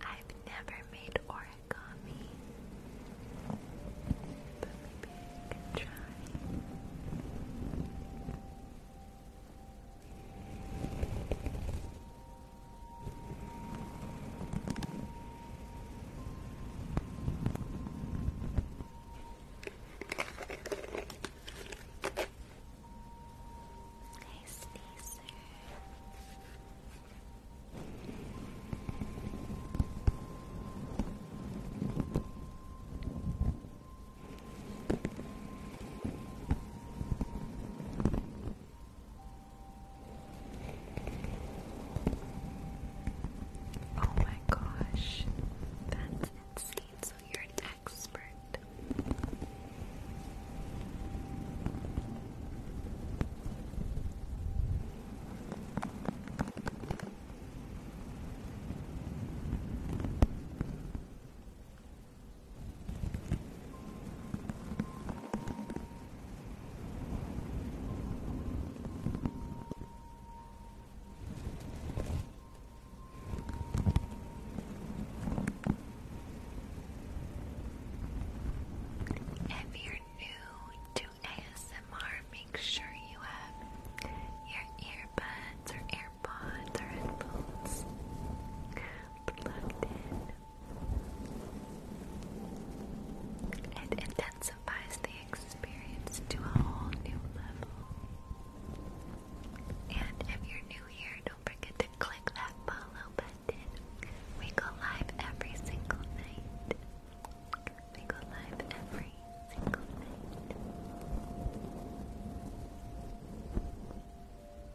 I've never made origami, but maybe I can try. Nice sneezer. Nice Oh my gosh, that's insane. So you're an expert. If you're new to ASMR, make sure you have your earbuds or ear AirPods or headphones plugged in. intensifies the experience to a whole new level. And if you're new here, don't forget to click that follow button. We go live every single night. We go live every single night.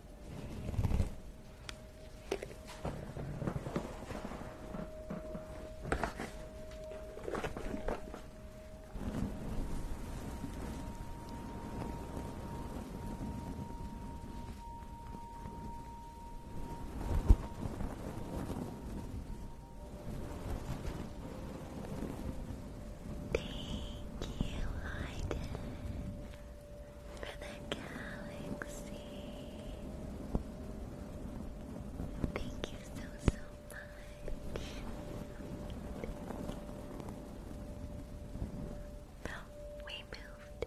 Thank you, Hayden for the galaxy. Thank you so, so much. No, we moved.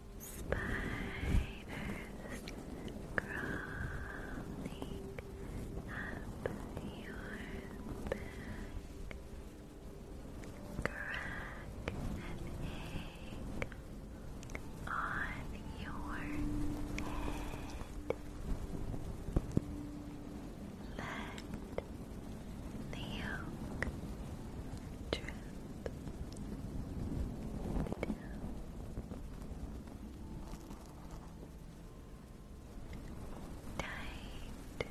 Spiders crawling up your back. Crack an egg on your head. Let the yolk drip down. Tight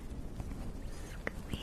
squeeze. Cool breeze.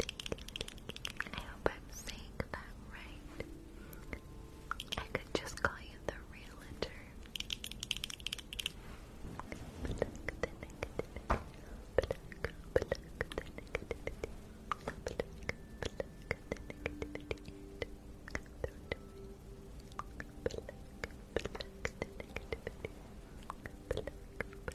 I hope I'm saying that right. I could just call you the realtor.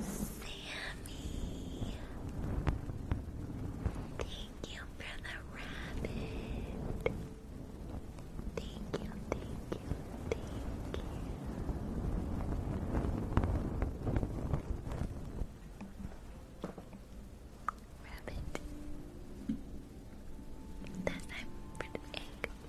Sammy, thank you for the rabbit. Thank you, thank you, thank you. Rabbit. That time for the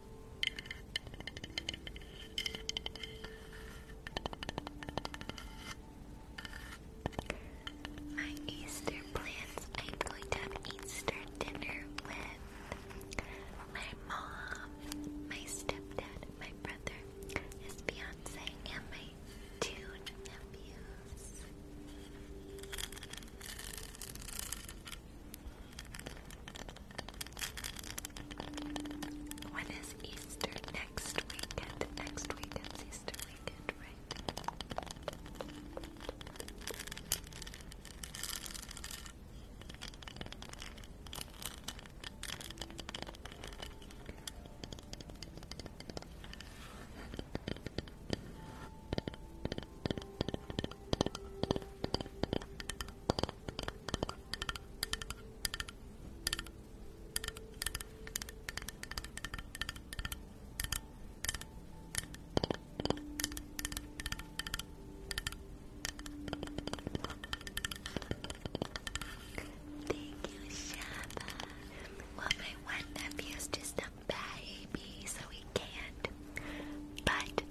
My Easter plans. I'm going to have Easter dinner with my mom, my stepdad, my brother, his fiance, and my two nephews. When is Easter? Next weekend. Next weekend's Easter weekend, right? Thank you, Shaba. Well, my one nephew's just a baby, so he can't. But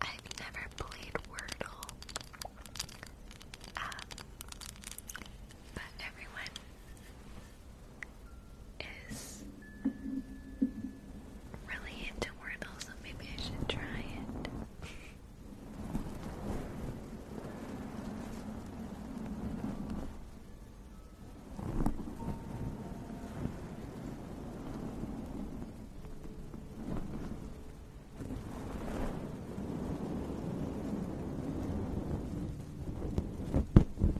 I've never played Wordle, um, but everyone is really into Wordle, so maybe I should try it.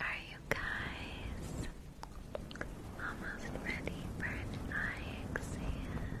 Are you guys almost ready for an eye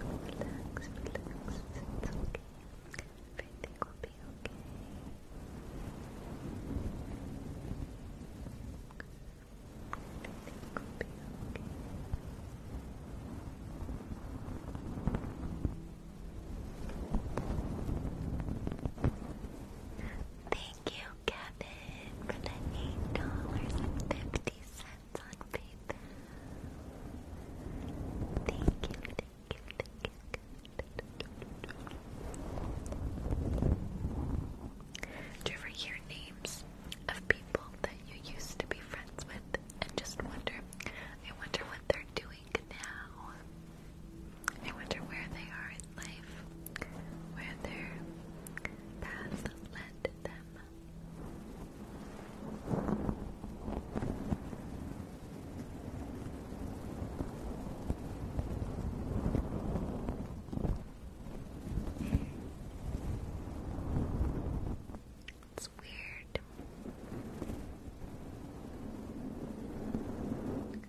Relax, relax, it's okay. Everything will be okay. Everything will be okay. Thank you, Do you ever hear names of people that you used to be friends with and just wonder, I wonder what they're doing now? I wonder where they are in life, where their paths led them. It's weird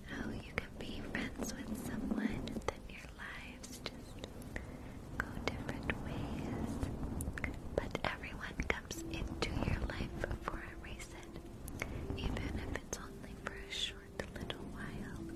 how you can be friends with someone that your lives just go different ways. But everyone comes into your life for a reason, even if it's only for a short little while.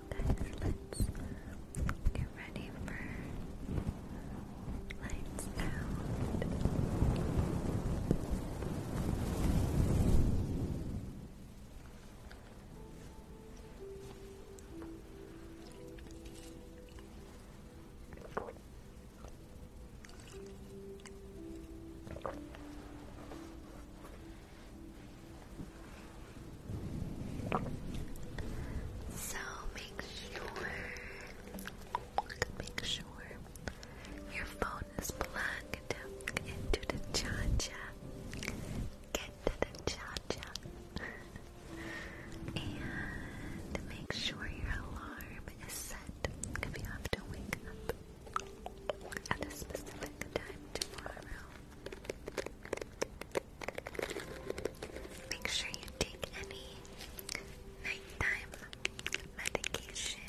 you guys, let's get ready for lights out. So make sure, make sure your phone is plugged into the charger. Get to the charger. (laughs) and make sure your alarm is set if you have to wake up at a specific time tomorrow. Make sure you take any nighttime medication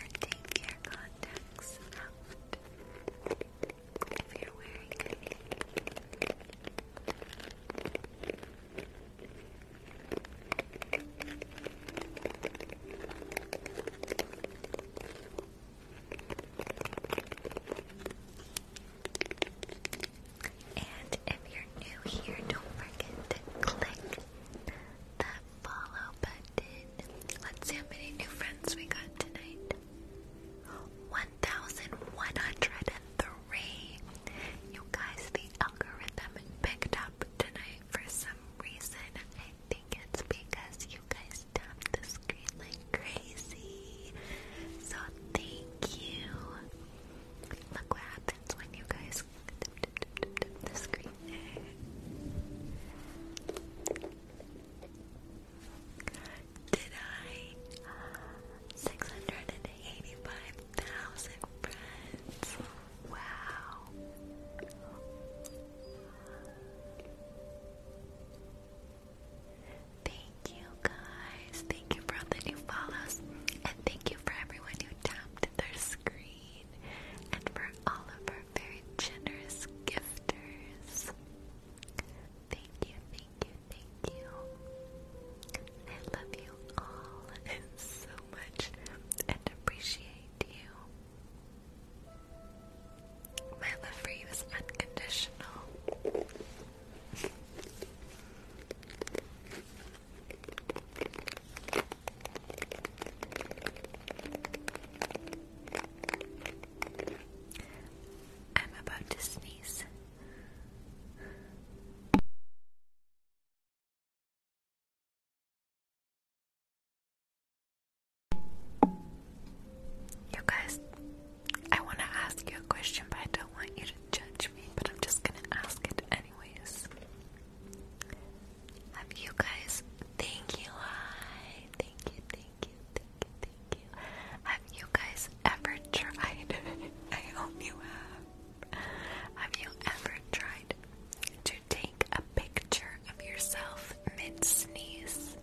and take your contacts out if you're wearing any. And if you're new here, don't forget to click that follow button. Let's see how many new friends we got tonight. 1,103. You guys, the algorithm picked up tonight for some reason. I think it's because you guys tapped the screen like crazy. So thank you. Look what happens when you guys the screen Did I? 685,000 friends. Wow. Thank you guys. Thank you for all the new follows. And thank you for everyone who tapped their screen. And for all of our very generous gifters. Thank you, thank you, thank you. I love you all (laughs) so much and appreciate you. My love for you is unconditional. I'm about to sneeze. You guys, I want to ask you a question, but I don't want you to judge me, but I'm just going to ask it anyways. Have you guys, thank you, I, thank you, thank you, thank you, thank you. Have you guys ever tried, (laughs) I hope you have, have you ever tried to take a picture of yourself mid-sneeze?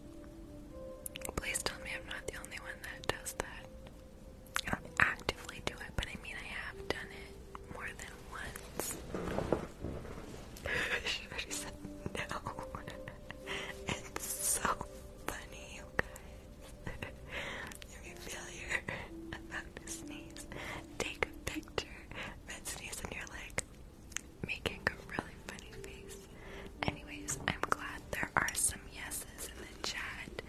Please tell me I'm not the only one that does that. I don't actively do it, but I mean, I have done it more than once. (laughs) she already said no. (laughs) it's so funny, you guys. (laughs) You're a failure. About to sneeze. Take a picture. Red sneeze, in your leg, making a really funny face. Anyways, I'm glad there are some yeses in the chat.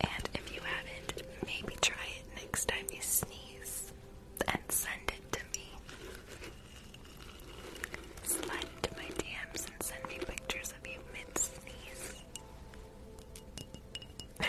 And if you haven't, maybe try it next time you sneeze and send it to me. Slide into my DMs and send me pictures of you mid sneeze. (laughs)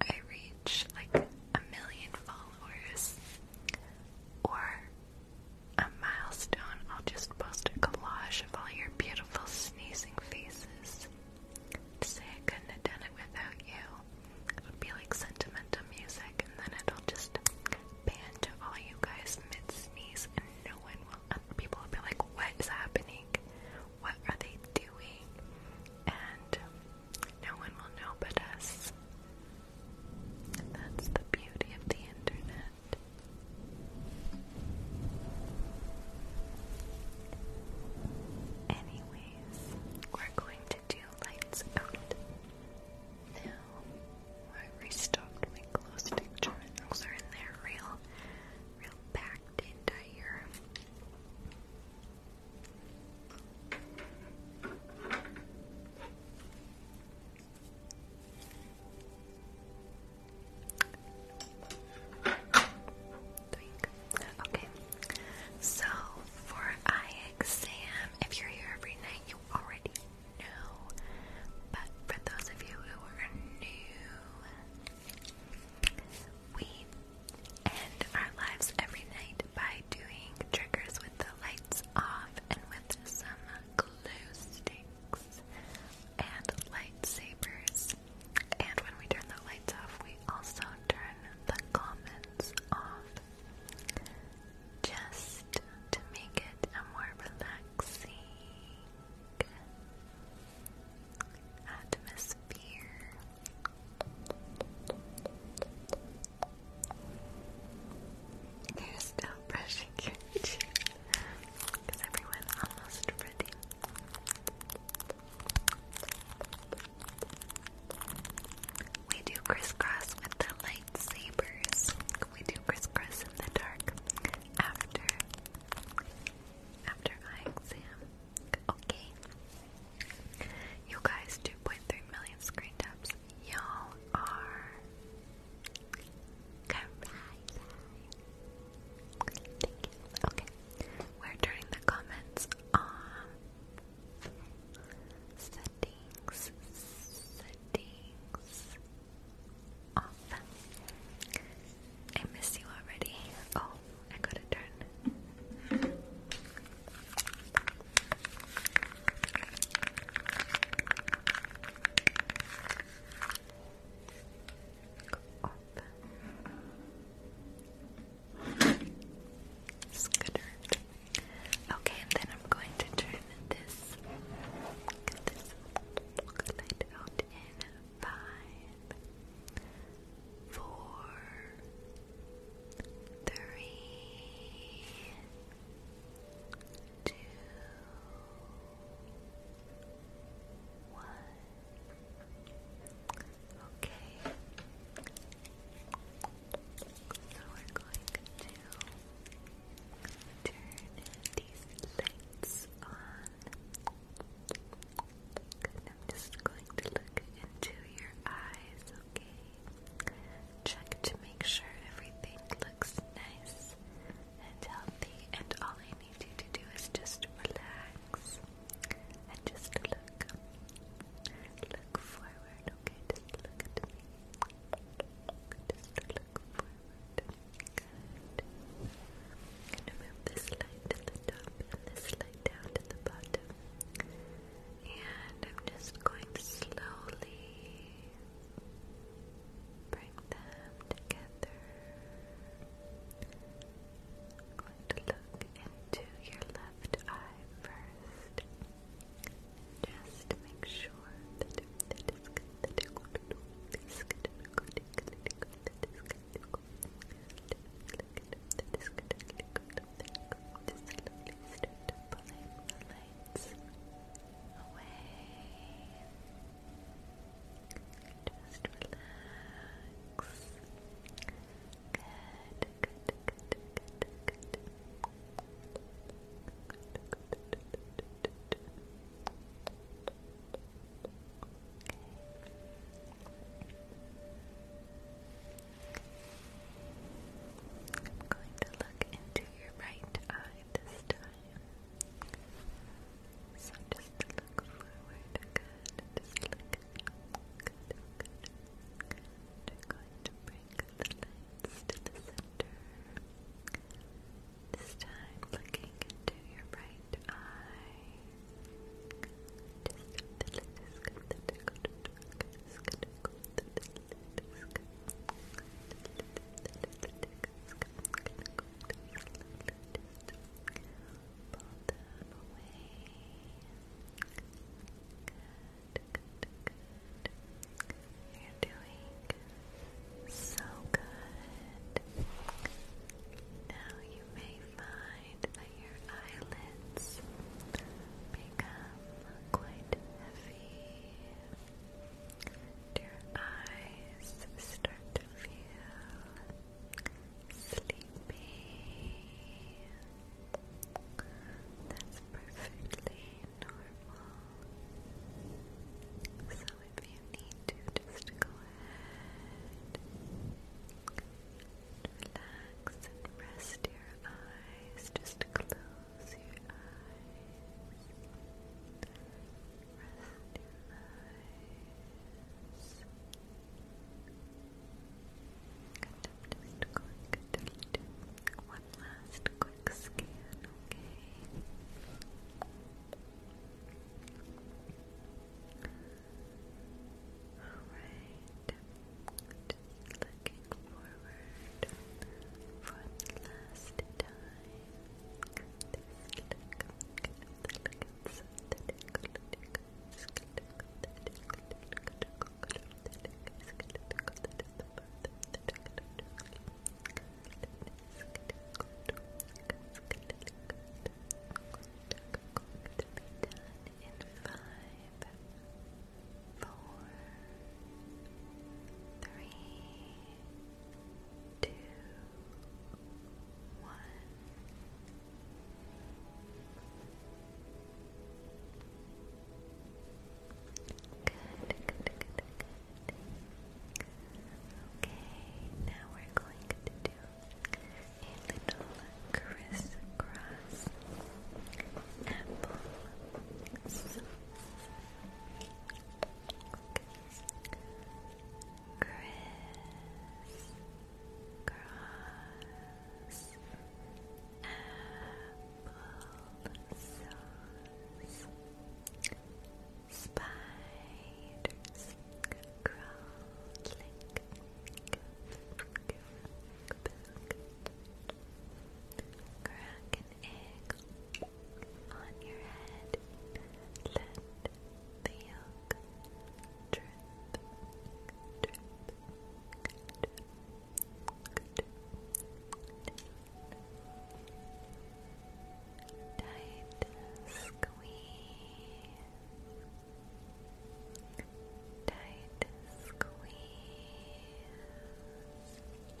I reach like a million followers or a milestone, I'll just post a collage of all your beautiful sneezing faces to say I couldn't have done it without you. It would be like sentimental music, and then it'll just pan to all you guys mid sneeze, and no one will. People will be like, "What is happening? What are they doing?" And no one will know but us. that's the beauty of the internet. Anyways, we're going to do lights out. Now, I restocked my glow stick jar and are in there real, real packed in here. Okay. So for eye exam, if you're here every night, you already know. But for those of you who are new, we end our lives every night by doing triggers the lights off and with some glue sticks and lightsabers. And when we turn the lights off, we also turn the comments off just to make it a more relaxing atmosphere. You're still brushing your (laughs) teeth. Is everyone almost ready? We do crisscross with the lightsabers. We do crisscross in the dark after after eye exam. Okay. You guys, 2.3 million screen taps y'all are Thank you. Okay, we're turning the comments on. Settings, settings, off. I miss you already. Oh, I gotta turn Scooter. Okay, then I'm going to turn this, this light out in five, four, three, two, one. Okay. So we're going to turn these lights on. Good. I'm just going to look into your eyes, okay? Check to make sure everything looks nice and healthy, and all I need you to do is just relax and just look. Look forward, okay? Just look at me. Just look forward. Good. I'm gonna move this light to the top and this light down to the bottom. And I'm just going to slowly bring them together. going to look into your left eye first. Just make sure lights away. Just relax. Good, I'm going to look into your right eye this time. So just look forward. Good. Just look. Good. Good. going to bring the lights to the center. This time, looking into your right eye. Just a little bit. Just a you're doing so good. Now you may find that your eyelids become quite heavy your eyes start to feel sleepy. That's perfectly normal. So if you need to, just go ahead relax and rest your eyes. Just close Close your eyes. Rest your eyes. And i one last quick scan, okay? Alright looking forward for the last time. This look, four, three, two, one. Good, good, good, Okay, now we're going to do a little crisscross apple Chris Cross Spiders Crawling Crack an egg on your head. Let the yolk drip, drip, drip, drip. Tight squeeze. Tight squeeze.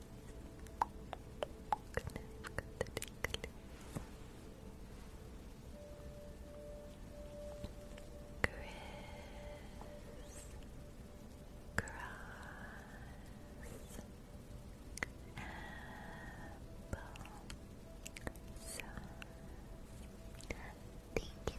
Chris Cross Apple so thank you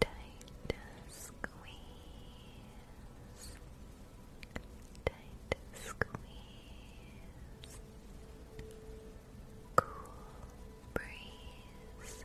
Tight squeeze. Tight squeeze. Cool breeze.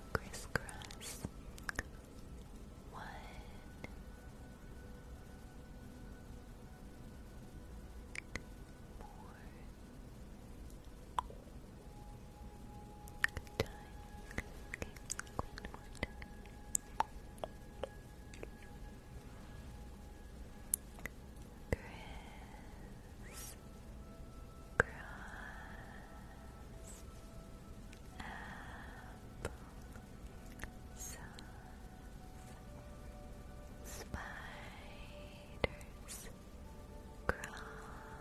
crisscross. One, more time. time. Criss, Apple sauce. Spiders crawling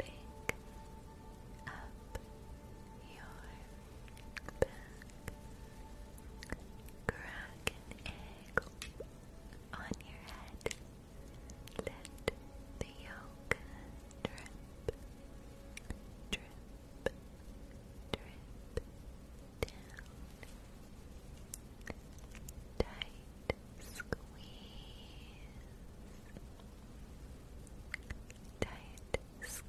up your back. Crack an on your head. Let the yolk drip, drip, drip down, tight squeeze, tight squeeze,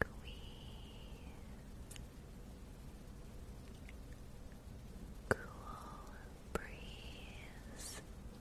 cool breeze.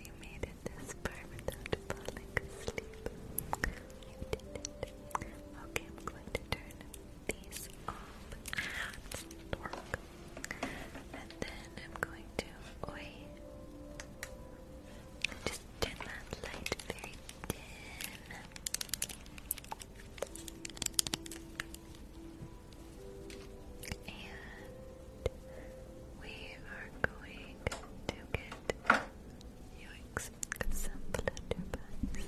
if you made it this far without falling asleep. Okay, I'm going to turn these off. Dork. And then I'm going to Just turn that light very dim. And we are going to get it. Yikes, got some flutterbugs.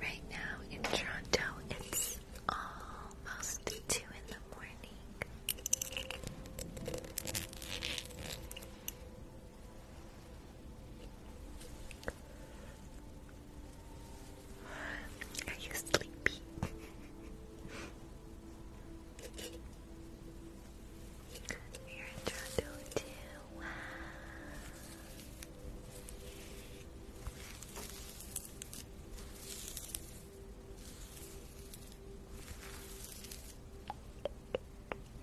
Right now in Toronto, it's almost two in the morning. Are you sleepy? You're in Toronto too.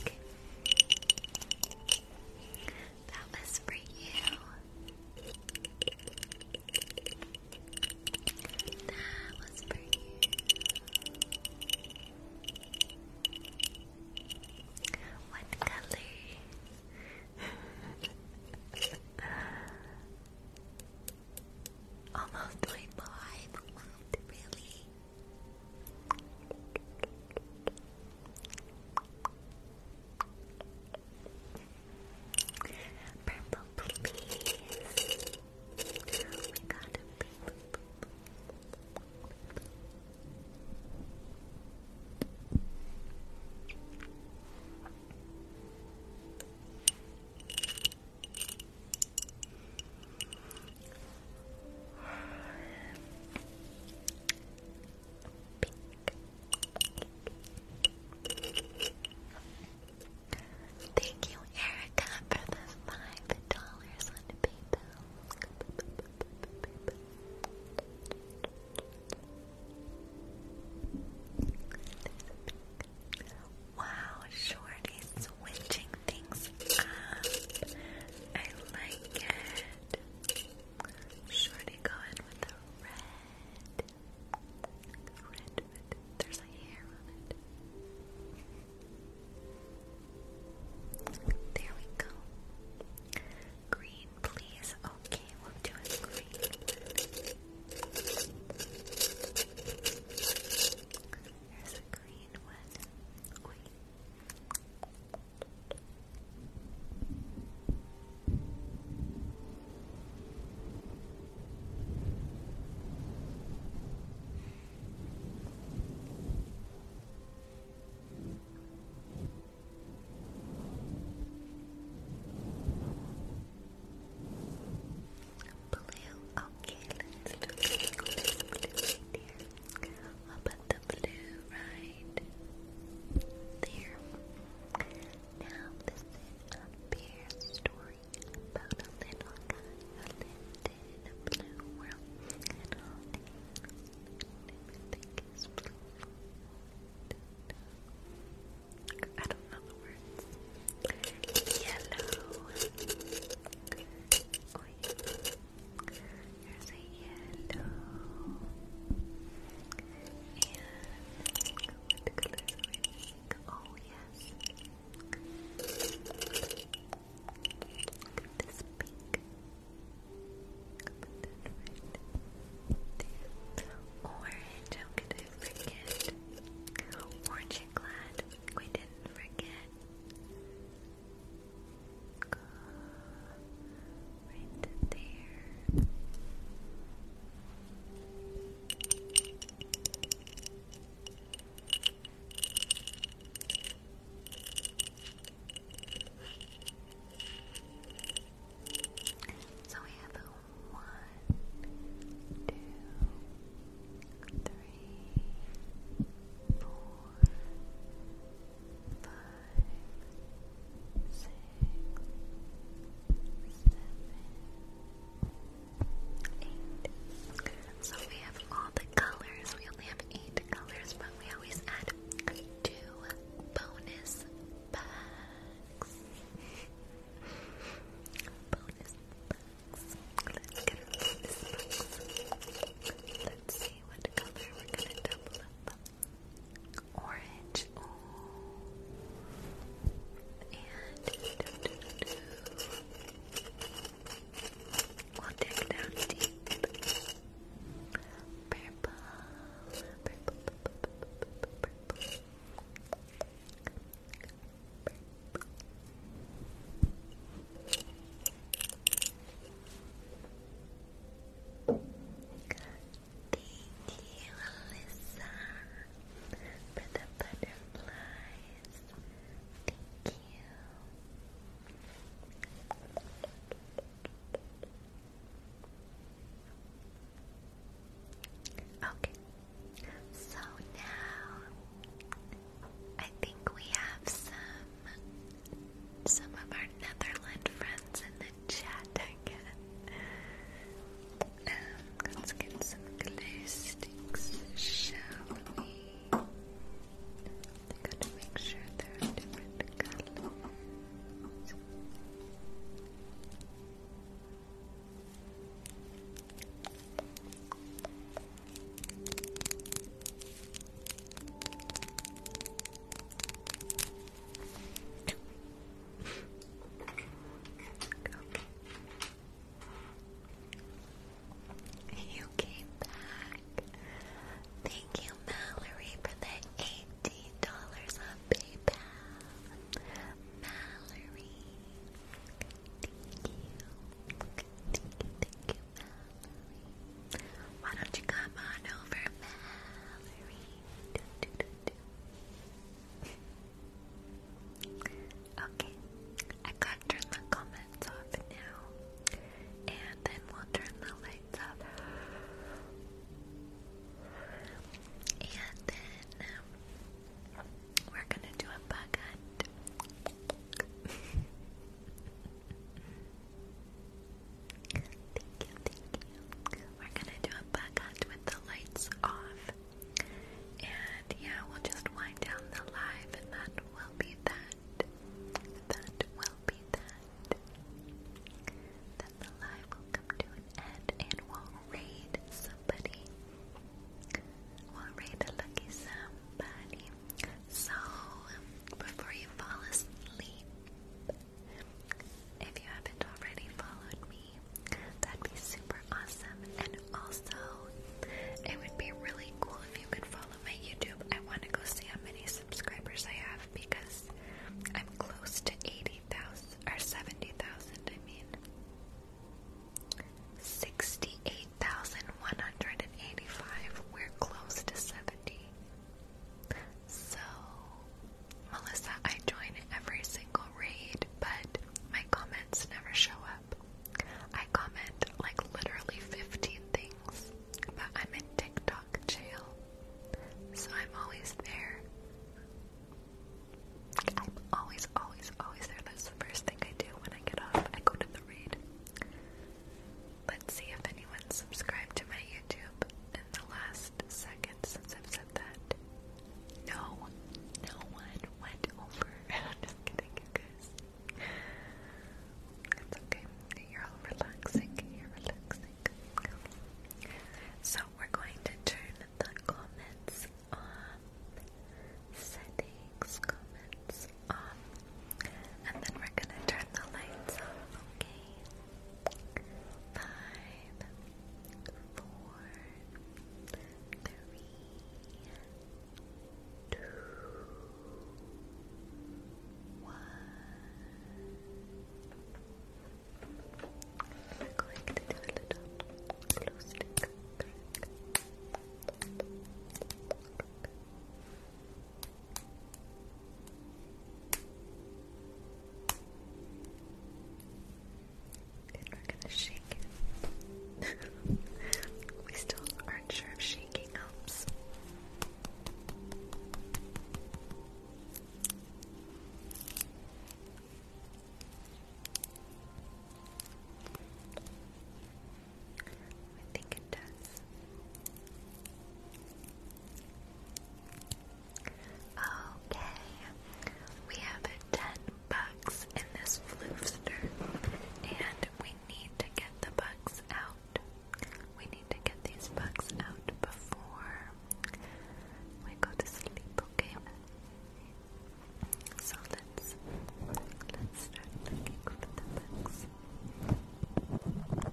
Okay. That was for you. That was for you. What color? (laughs) Almost 25. Wow, really? Purple, please. Oh my god, purple. Thank you, Erica, for the five dollars on PayPal. Wow, Shorty switching things up. I like it. Sure to with the red. Red, red. There's a hair on it. There we go. Green, please. Okay, we'll do it green. Here's a green green one. Blue, okay, let's do blue, blue, blue, blue, I'll the blue right there. Now this is story about a little guy lived in a blue world and everything is blue. I don't know the words. Yellow. Here's a yellow. Oh, yes. Look at this pink. Put that right there. Orange, how could forget? Orange glad we didn't forget. Go right So we have one, two, three, four, five six, seven, eight. So we have all the colors. We only have eight colors, but we always add two bonus bags. Let's bonus bags. Let's see what color we're gonna double up orange, and do, do, down deep, Thank you, Alyssa, for the butterflies. Thank you. Okay, so now I think we have some some of our Netherland friends in the chat again. Um, let's get some glue shall we? gotta make sure they're different color. You came back. Thank you, Mallory, for the eighteen dollars on PayPal. Mallory, thank you, thank you, thank you, Mallory. Why don't you come on over, Mallory? (laughs) okay, I gotta turn the comments off now, and then we'll turn the lights off, and then um, we're gonna do a bug hunt. (laughs) Thank you, We're gonna do a bug hunt with the lights off. And yeah, we'll just wind down the live, and that will be that. That will be that. Then the live will come to an end, and we'll raid somebody. We'll raid a lucky somebody. So, before you fall asleep, if you haven't already followed me, that'd be super awesome. And also, it would be really cool if you could follow my YouTube. I want to go see how many subscribers I have because I'm close to 80,000 or 70,000, I mean. 68,185. We're close to 70. So, Melissa, I join every single raid, but my comments never show up. I comment like literally 15 things, but I'm in TikTok jail, so I'm always there. I'm always, always, always there. That's the first thing I do when I get off. I go to the raid. Let's see if anyone's subscribed to my YouTube in the last second since I've said that. No, no one went over. (laughs) I'm just kidding, guys. It's okay. You're all relaxing. You're relaxing. So we're going to turn the comments on. Settings, comments off. And then we're gonna turn the lights off, okay? Five, four, three, two, one. We're going to do a little glow stick and we're gonna shake it. (laughs) we still aren't sure if shaking helps. I think it does. Okay, we have 10 bugs in this floofster, and we need to get the bugs out. We need to get these bugs out before we go to sleep, okay? So let's, let's start looking for the bugs.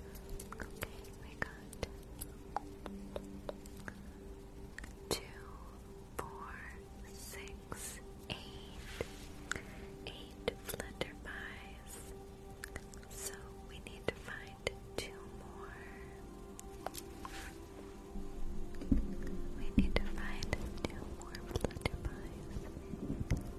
Okay, we got two, four, six, eight, eight flutterpies. So we need to find two more. We need to find two more flutterpies.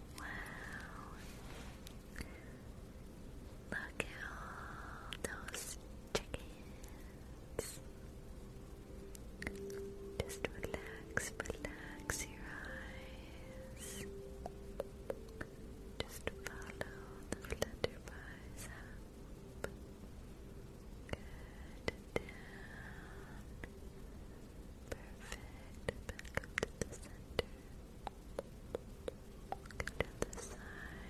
Wow. Look at all those chickens. Just relax, relax your eyes. Just follow the flutterby's up. Good. Perfect. Back up to the center. Get to the side.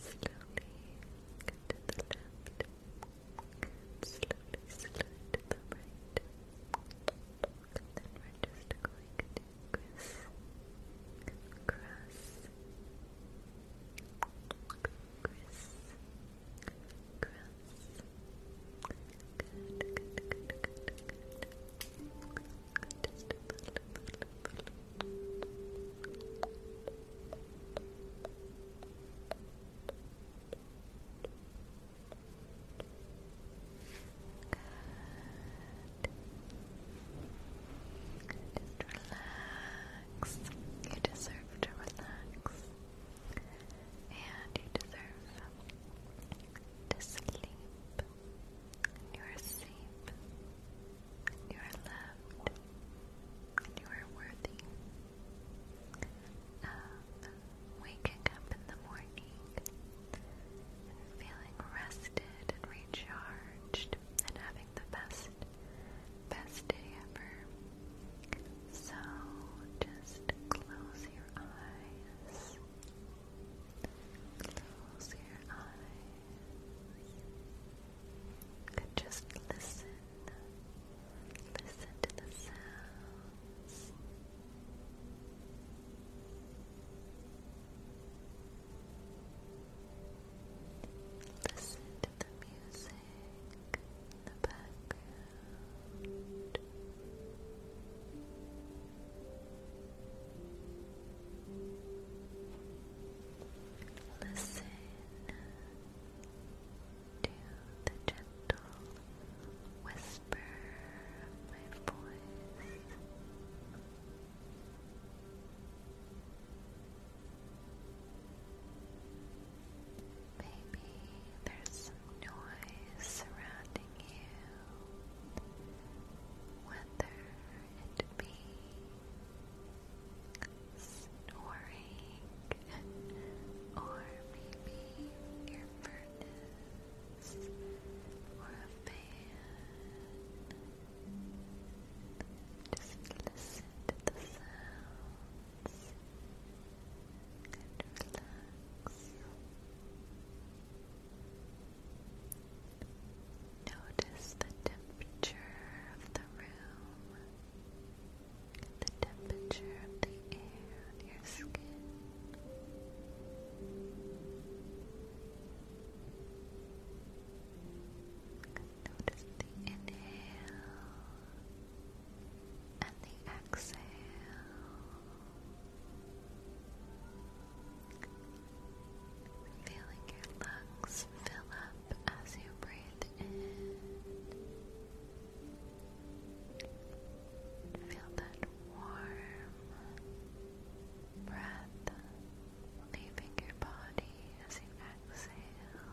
Slowly. Get to the left. Slowly slowly to the right. And then we're just going to cross. Cross. Criss, grass. Good, good, good, good, good. Just a little, little, Good. Just relax. You deserve to relax. And you deserve to sleep. You are safe. You are loved. And you are worthy of waking up in the morning feeling rested and recharged and having the best, best day ever. So just close your eyes. Close your eyes. And just listen. Listen to the sounds. Listen to the music in the background. Listen to the gentle whisper of my voice. Maybe there's some noise surrounding you, whether it be snoring or maybe your furnace or a fan. Just listen to the sounds and relax. Notice the temperature of the room, the temperature of the air on your skin. Notice the inhale and the exhale. Feeling your lungs fill up as you breathe in. Feel that warm breath leaving your body as you exhale.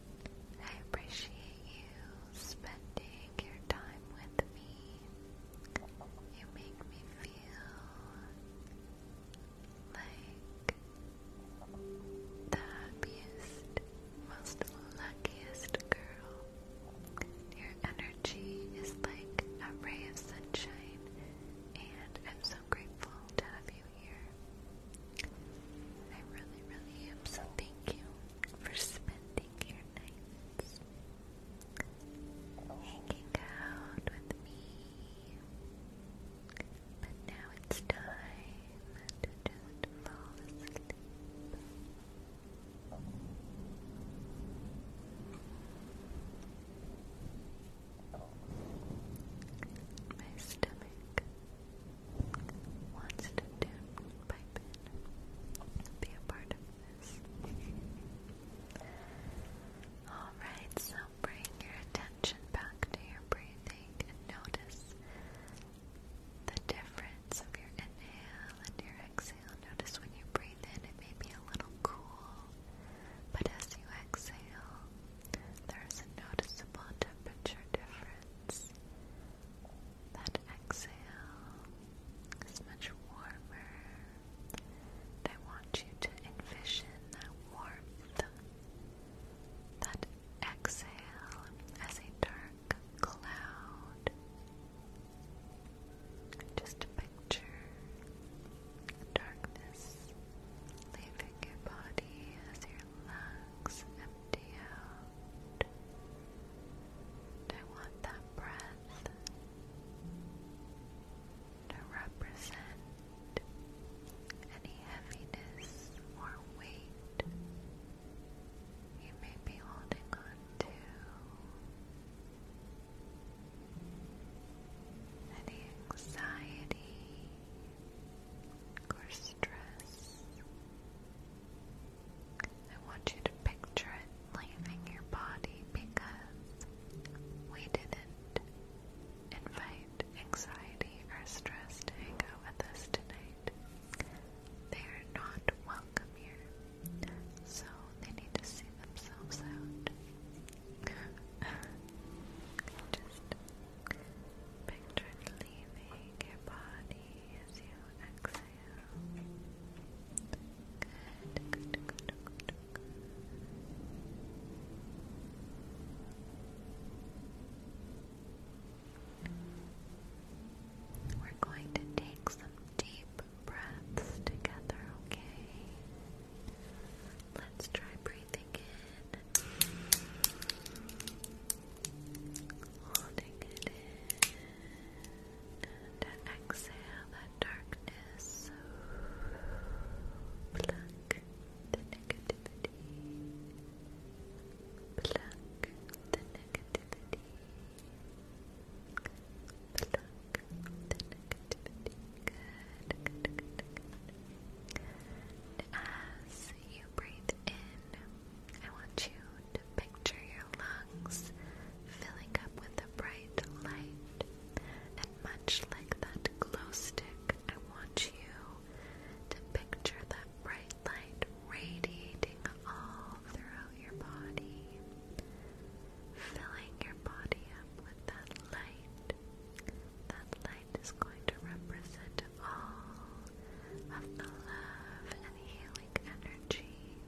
I appreciate you spending your time with me. You make me feel like the happiest, most luckiest girl. Your energy is like a ray of sunshine, and I'm so grateful to have you here. I really, really am, so thank you for spending your nights hanging out with me. But now it's time to just fall asleep. My stomach wants to tune pipe in, be a part of this. Alright, so bring your attention back to your breathing and notice the difference of your inhale and your exhale. Notice when you breathe in, it may be a little cool, but as you exhale, there is a noticeable temperature difference. That exhale is much warmer. I want you to envision that warmth, that exhale as a dark cloud. Just picture the darkness leaving your body as you relax empty I want that breath to represent any heaviness or weight you may be holding on Any anxiety or stress I want you to picture it leaving your body because we didn't invite anxiety or stress to hang out with us tonight. They are not welcome here, so they need to see themselves out. Just picture leaving your body as you exit. Good, good, good, good, good. We're going to take some deep breaths together, okay? Let's try breathing in holding it in and exhale the darkness. Pluck the negativity. Pluck the negativity. Pluck the negativity. as you breathe in, I want you to picture your lungs filling up with a bright light. And much like that glow stick, I want you to picture that bright light radiating all throughout your body, filling your body up with that light. That light is going to represent all of the love and healing energy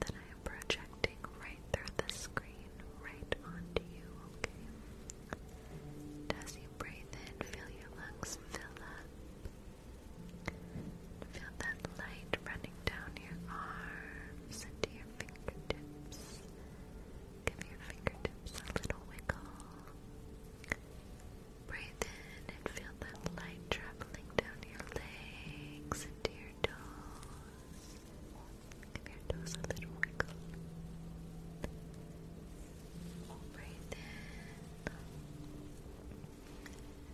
that I am projecting right through the screen, right onto you, okay? As you breathe in, feel your lungs fill up. Feel that light running down your arms into your fingertips. Give your fingertips a little wiggle. Breathe in and feel that light traveling down your legs into your toes. Give your toes a little wiggle. Breathe in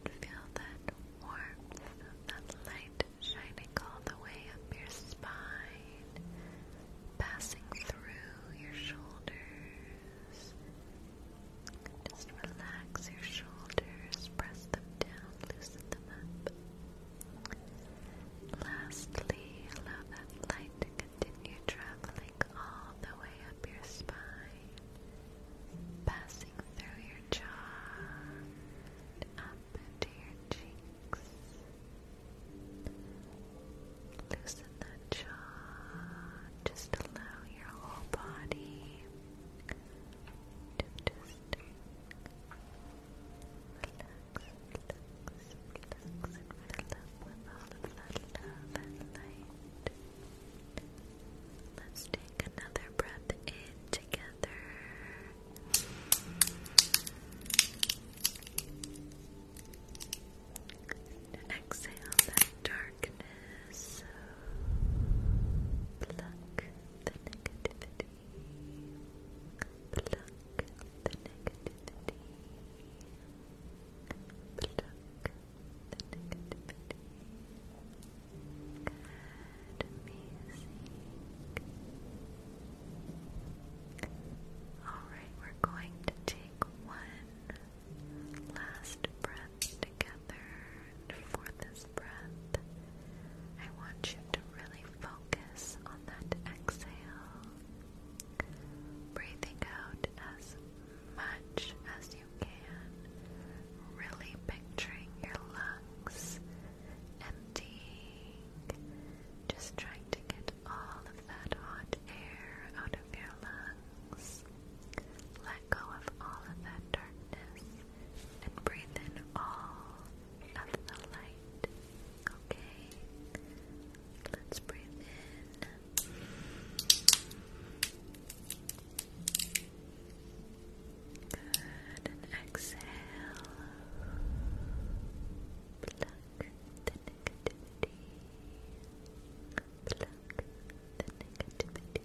and feel that warmth that light shining all the way up your spine, passing through your shoulders. Just relax your shoulders, press them down, loosen them up. Lastly, allow that light to continue traveling all the way up your spine, passing through your jaw up into your cheeks. Loosen that jaw, just allow your whole body relax, and fill with all of that love and light. Let's take another breath in together. exhale that dark darkness. Pluck the negativity. Pluck the negativity. Pluck the negativity. Good, amazing. Alright, we're going to take one last breath together for this breath, I want you to really focus on that exhale, breathing out as much as you can, really picturing your lungs emptying, just trying to get all of that hot air out of your lungs let go of all of that darkness and breathe in all of the light. Okay? Let's breathe in. Good. And exhale. Pluck the negativity. Pluck the negativity.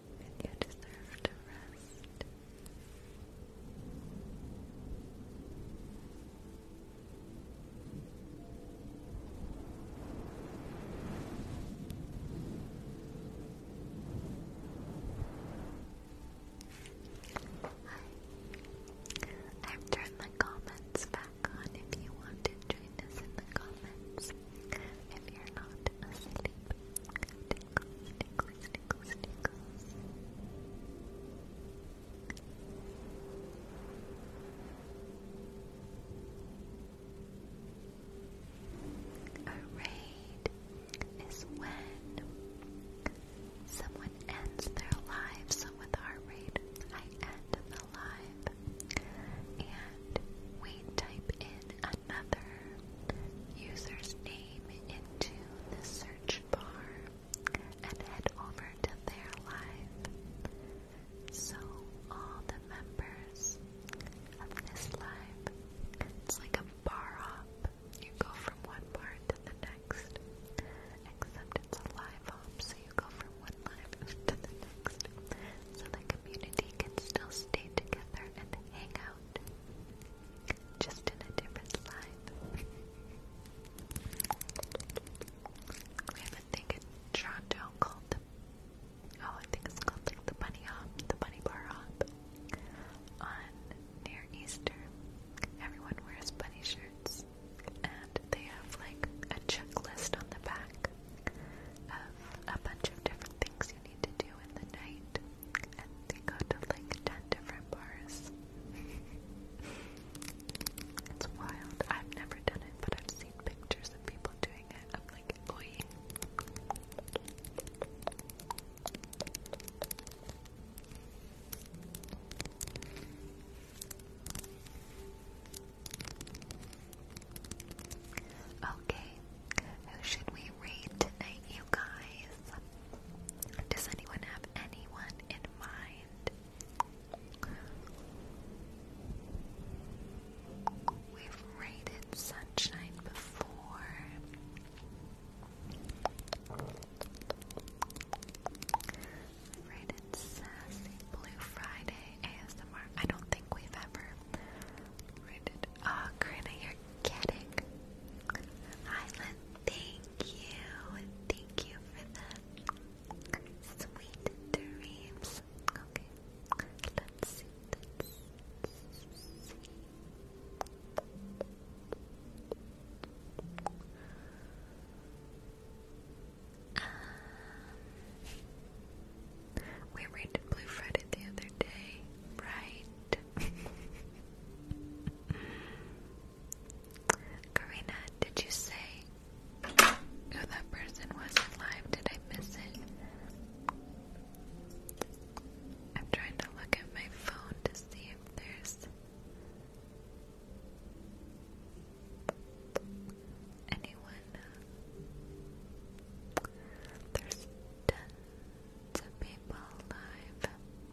and you Hi. I've turned the comments back on if you want to join us in the comments. If you're not asleep. Tickles, is when someone ends their life. So with arrayed, I end the live, and we type in another user's name into the search bar and head over to their live. So all the members of this live, it's like a bar hop. You go from one bar to the next, except it's a live hop, so you go from one live (laughs) to the next. So the community can still stay together and hang out just in a different slide. we have a thing in Toronto called oh, I think it's called like the bunny hop, the bunny bar hop. On near Easter, everyone wears bunny shirts, and they have like a checklist on the back of a bunch of different things you need to do in the night and they go to like 10 different bars. (laughs) it's wild. I've never done it, but I've seen pictures of people doing it. I'm like, oi. Okay, who should we read tonight, you guys? Does anyone have anyone in mind? We've raided Sunshine before. Rated Sassy Blue Friday ASMR. I don't think we've ever rated. Oh, ah, Karina, you're Thank you, thank you for the sweet dreams. let's see. Um, we read Blue the other day, right? (laughs) Karina, did you say who that person was alive? Did I miss it? I'm trying to look at my phone to see if there's anyone. There's tons people alive.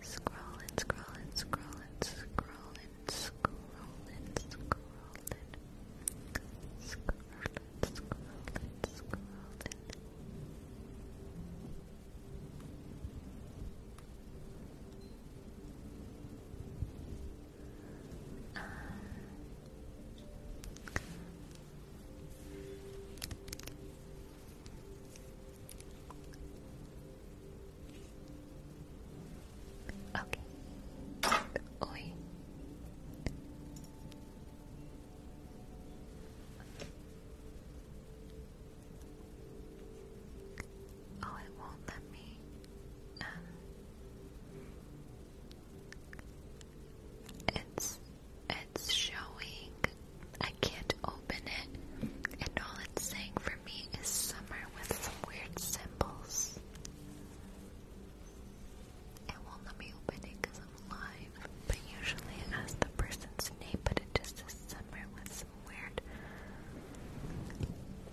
Scroll and scroll and scroll and scroll and scroll and scroll and scroll and scroll and scroll and um, Okay. Oi. Oh, it won't let me. Um, it's it's showing. I can't open it, and all it's saying for me is summer with some weird symbols. It won't let me open it because I'm live, but usually it has the person's name, but it just says summer with some weird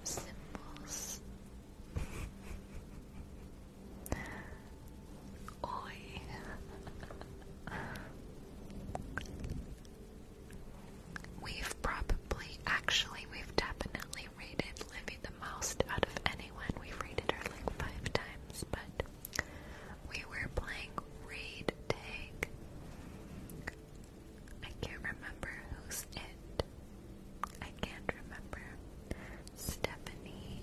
symbols. (laughs) Oi. (laughs) We've probably, actually, we've definitely rated Living the most out of anyone. We've rated her like five times, but we were playing read Tag. I can't remember who's it. I can't remember. Stephanie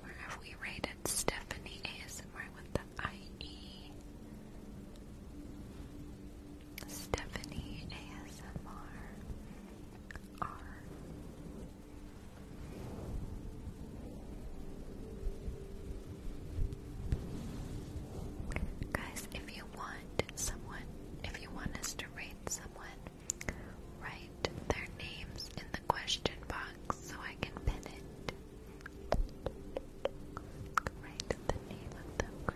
Where Have we rated Stephanie ASMR with the IE? Stephanie ASMR Guys, if you want someone, if you want us to rate someone, write their names in the question box so I can pin it. Write the name of the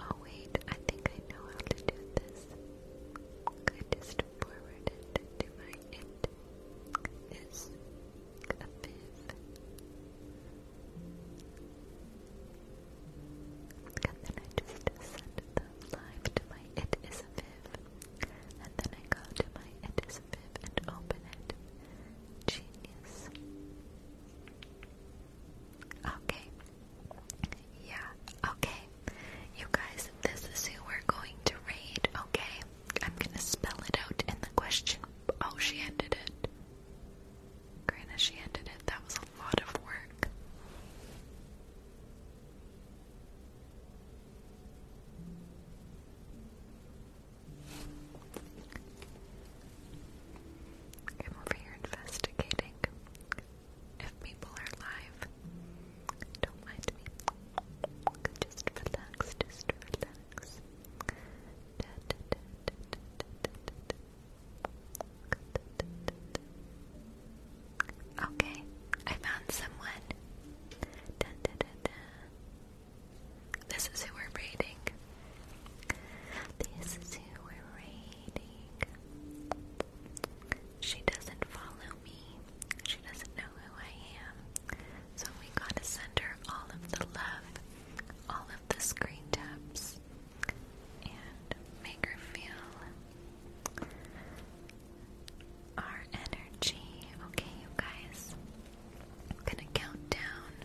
Oh wait, I think I know how to do this. I just forward it to my it is a fifth. And then I just send the live to my it is a viv. And then I go to my it is a viv and open it. Genius. Okay. Yeah, okay. You guys, this is who we're going to raid, okay? I'm gonna spell it out in the question. Oh, she ended it. Granted, she ended it. That was a lot of work. I'm over here investigating if people are live. Don't mind me. Just relax, just relax. Okay, I found someone. This is who we're raiding. This is who we're raiding. She doesn't follow me. She doesn't know who I am. So we gotta send her all of the love, all of the screen taps, and make her feel our energy. Okay, you guys. I'm gonna count down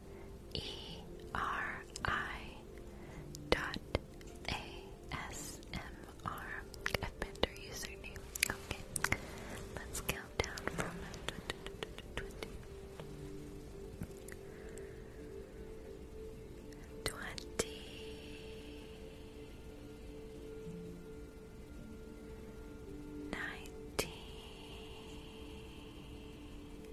E R I dot A S M R Adminder username. Okay. Let's count down from twenty.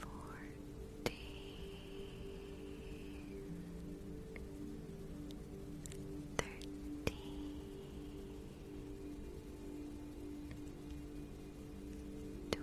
fourteen, thirteen, twelve, eleven. 10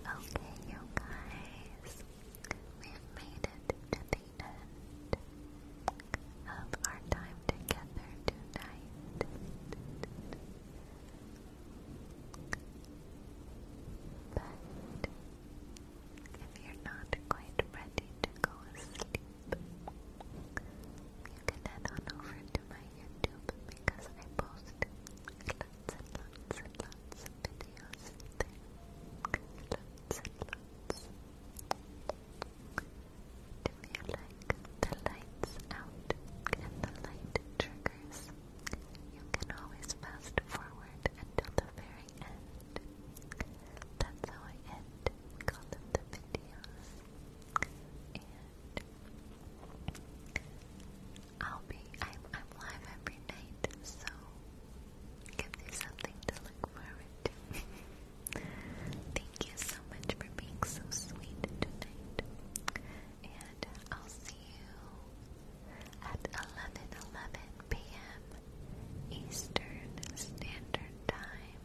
Okay, you guys, we've made it to the end of our time together tonight. But if you're not quite ready to go asleep, you can head on over to my YouTube because I post lots you like the lights out and the light triggers? You can always fast forward until the very end. That's how I end all of the videos. I'll be I'm I'm live every night, so give you something to look forward to. (laughs) Thank you so much for being so sweet tonight. And I'll see you at eleven eleven PM Eastern Standard Time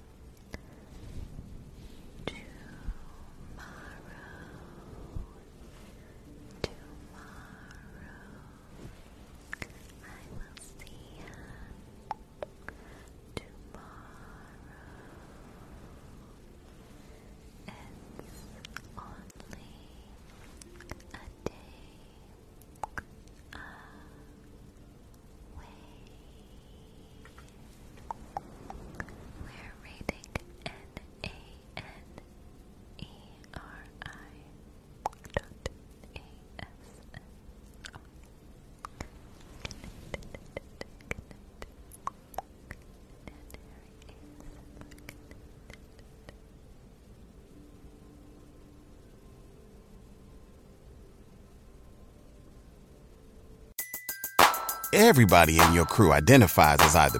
tomorrow. Tomorrow I will see ya. Tomorrow it's only a day away. We're reading an a N E R I dot A S M O. Everybody in your crew identifies as either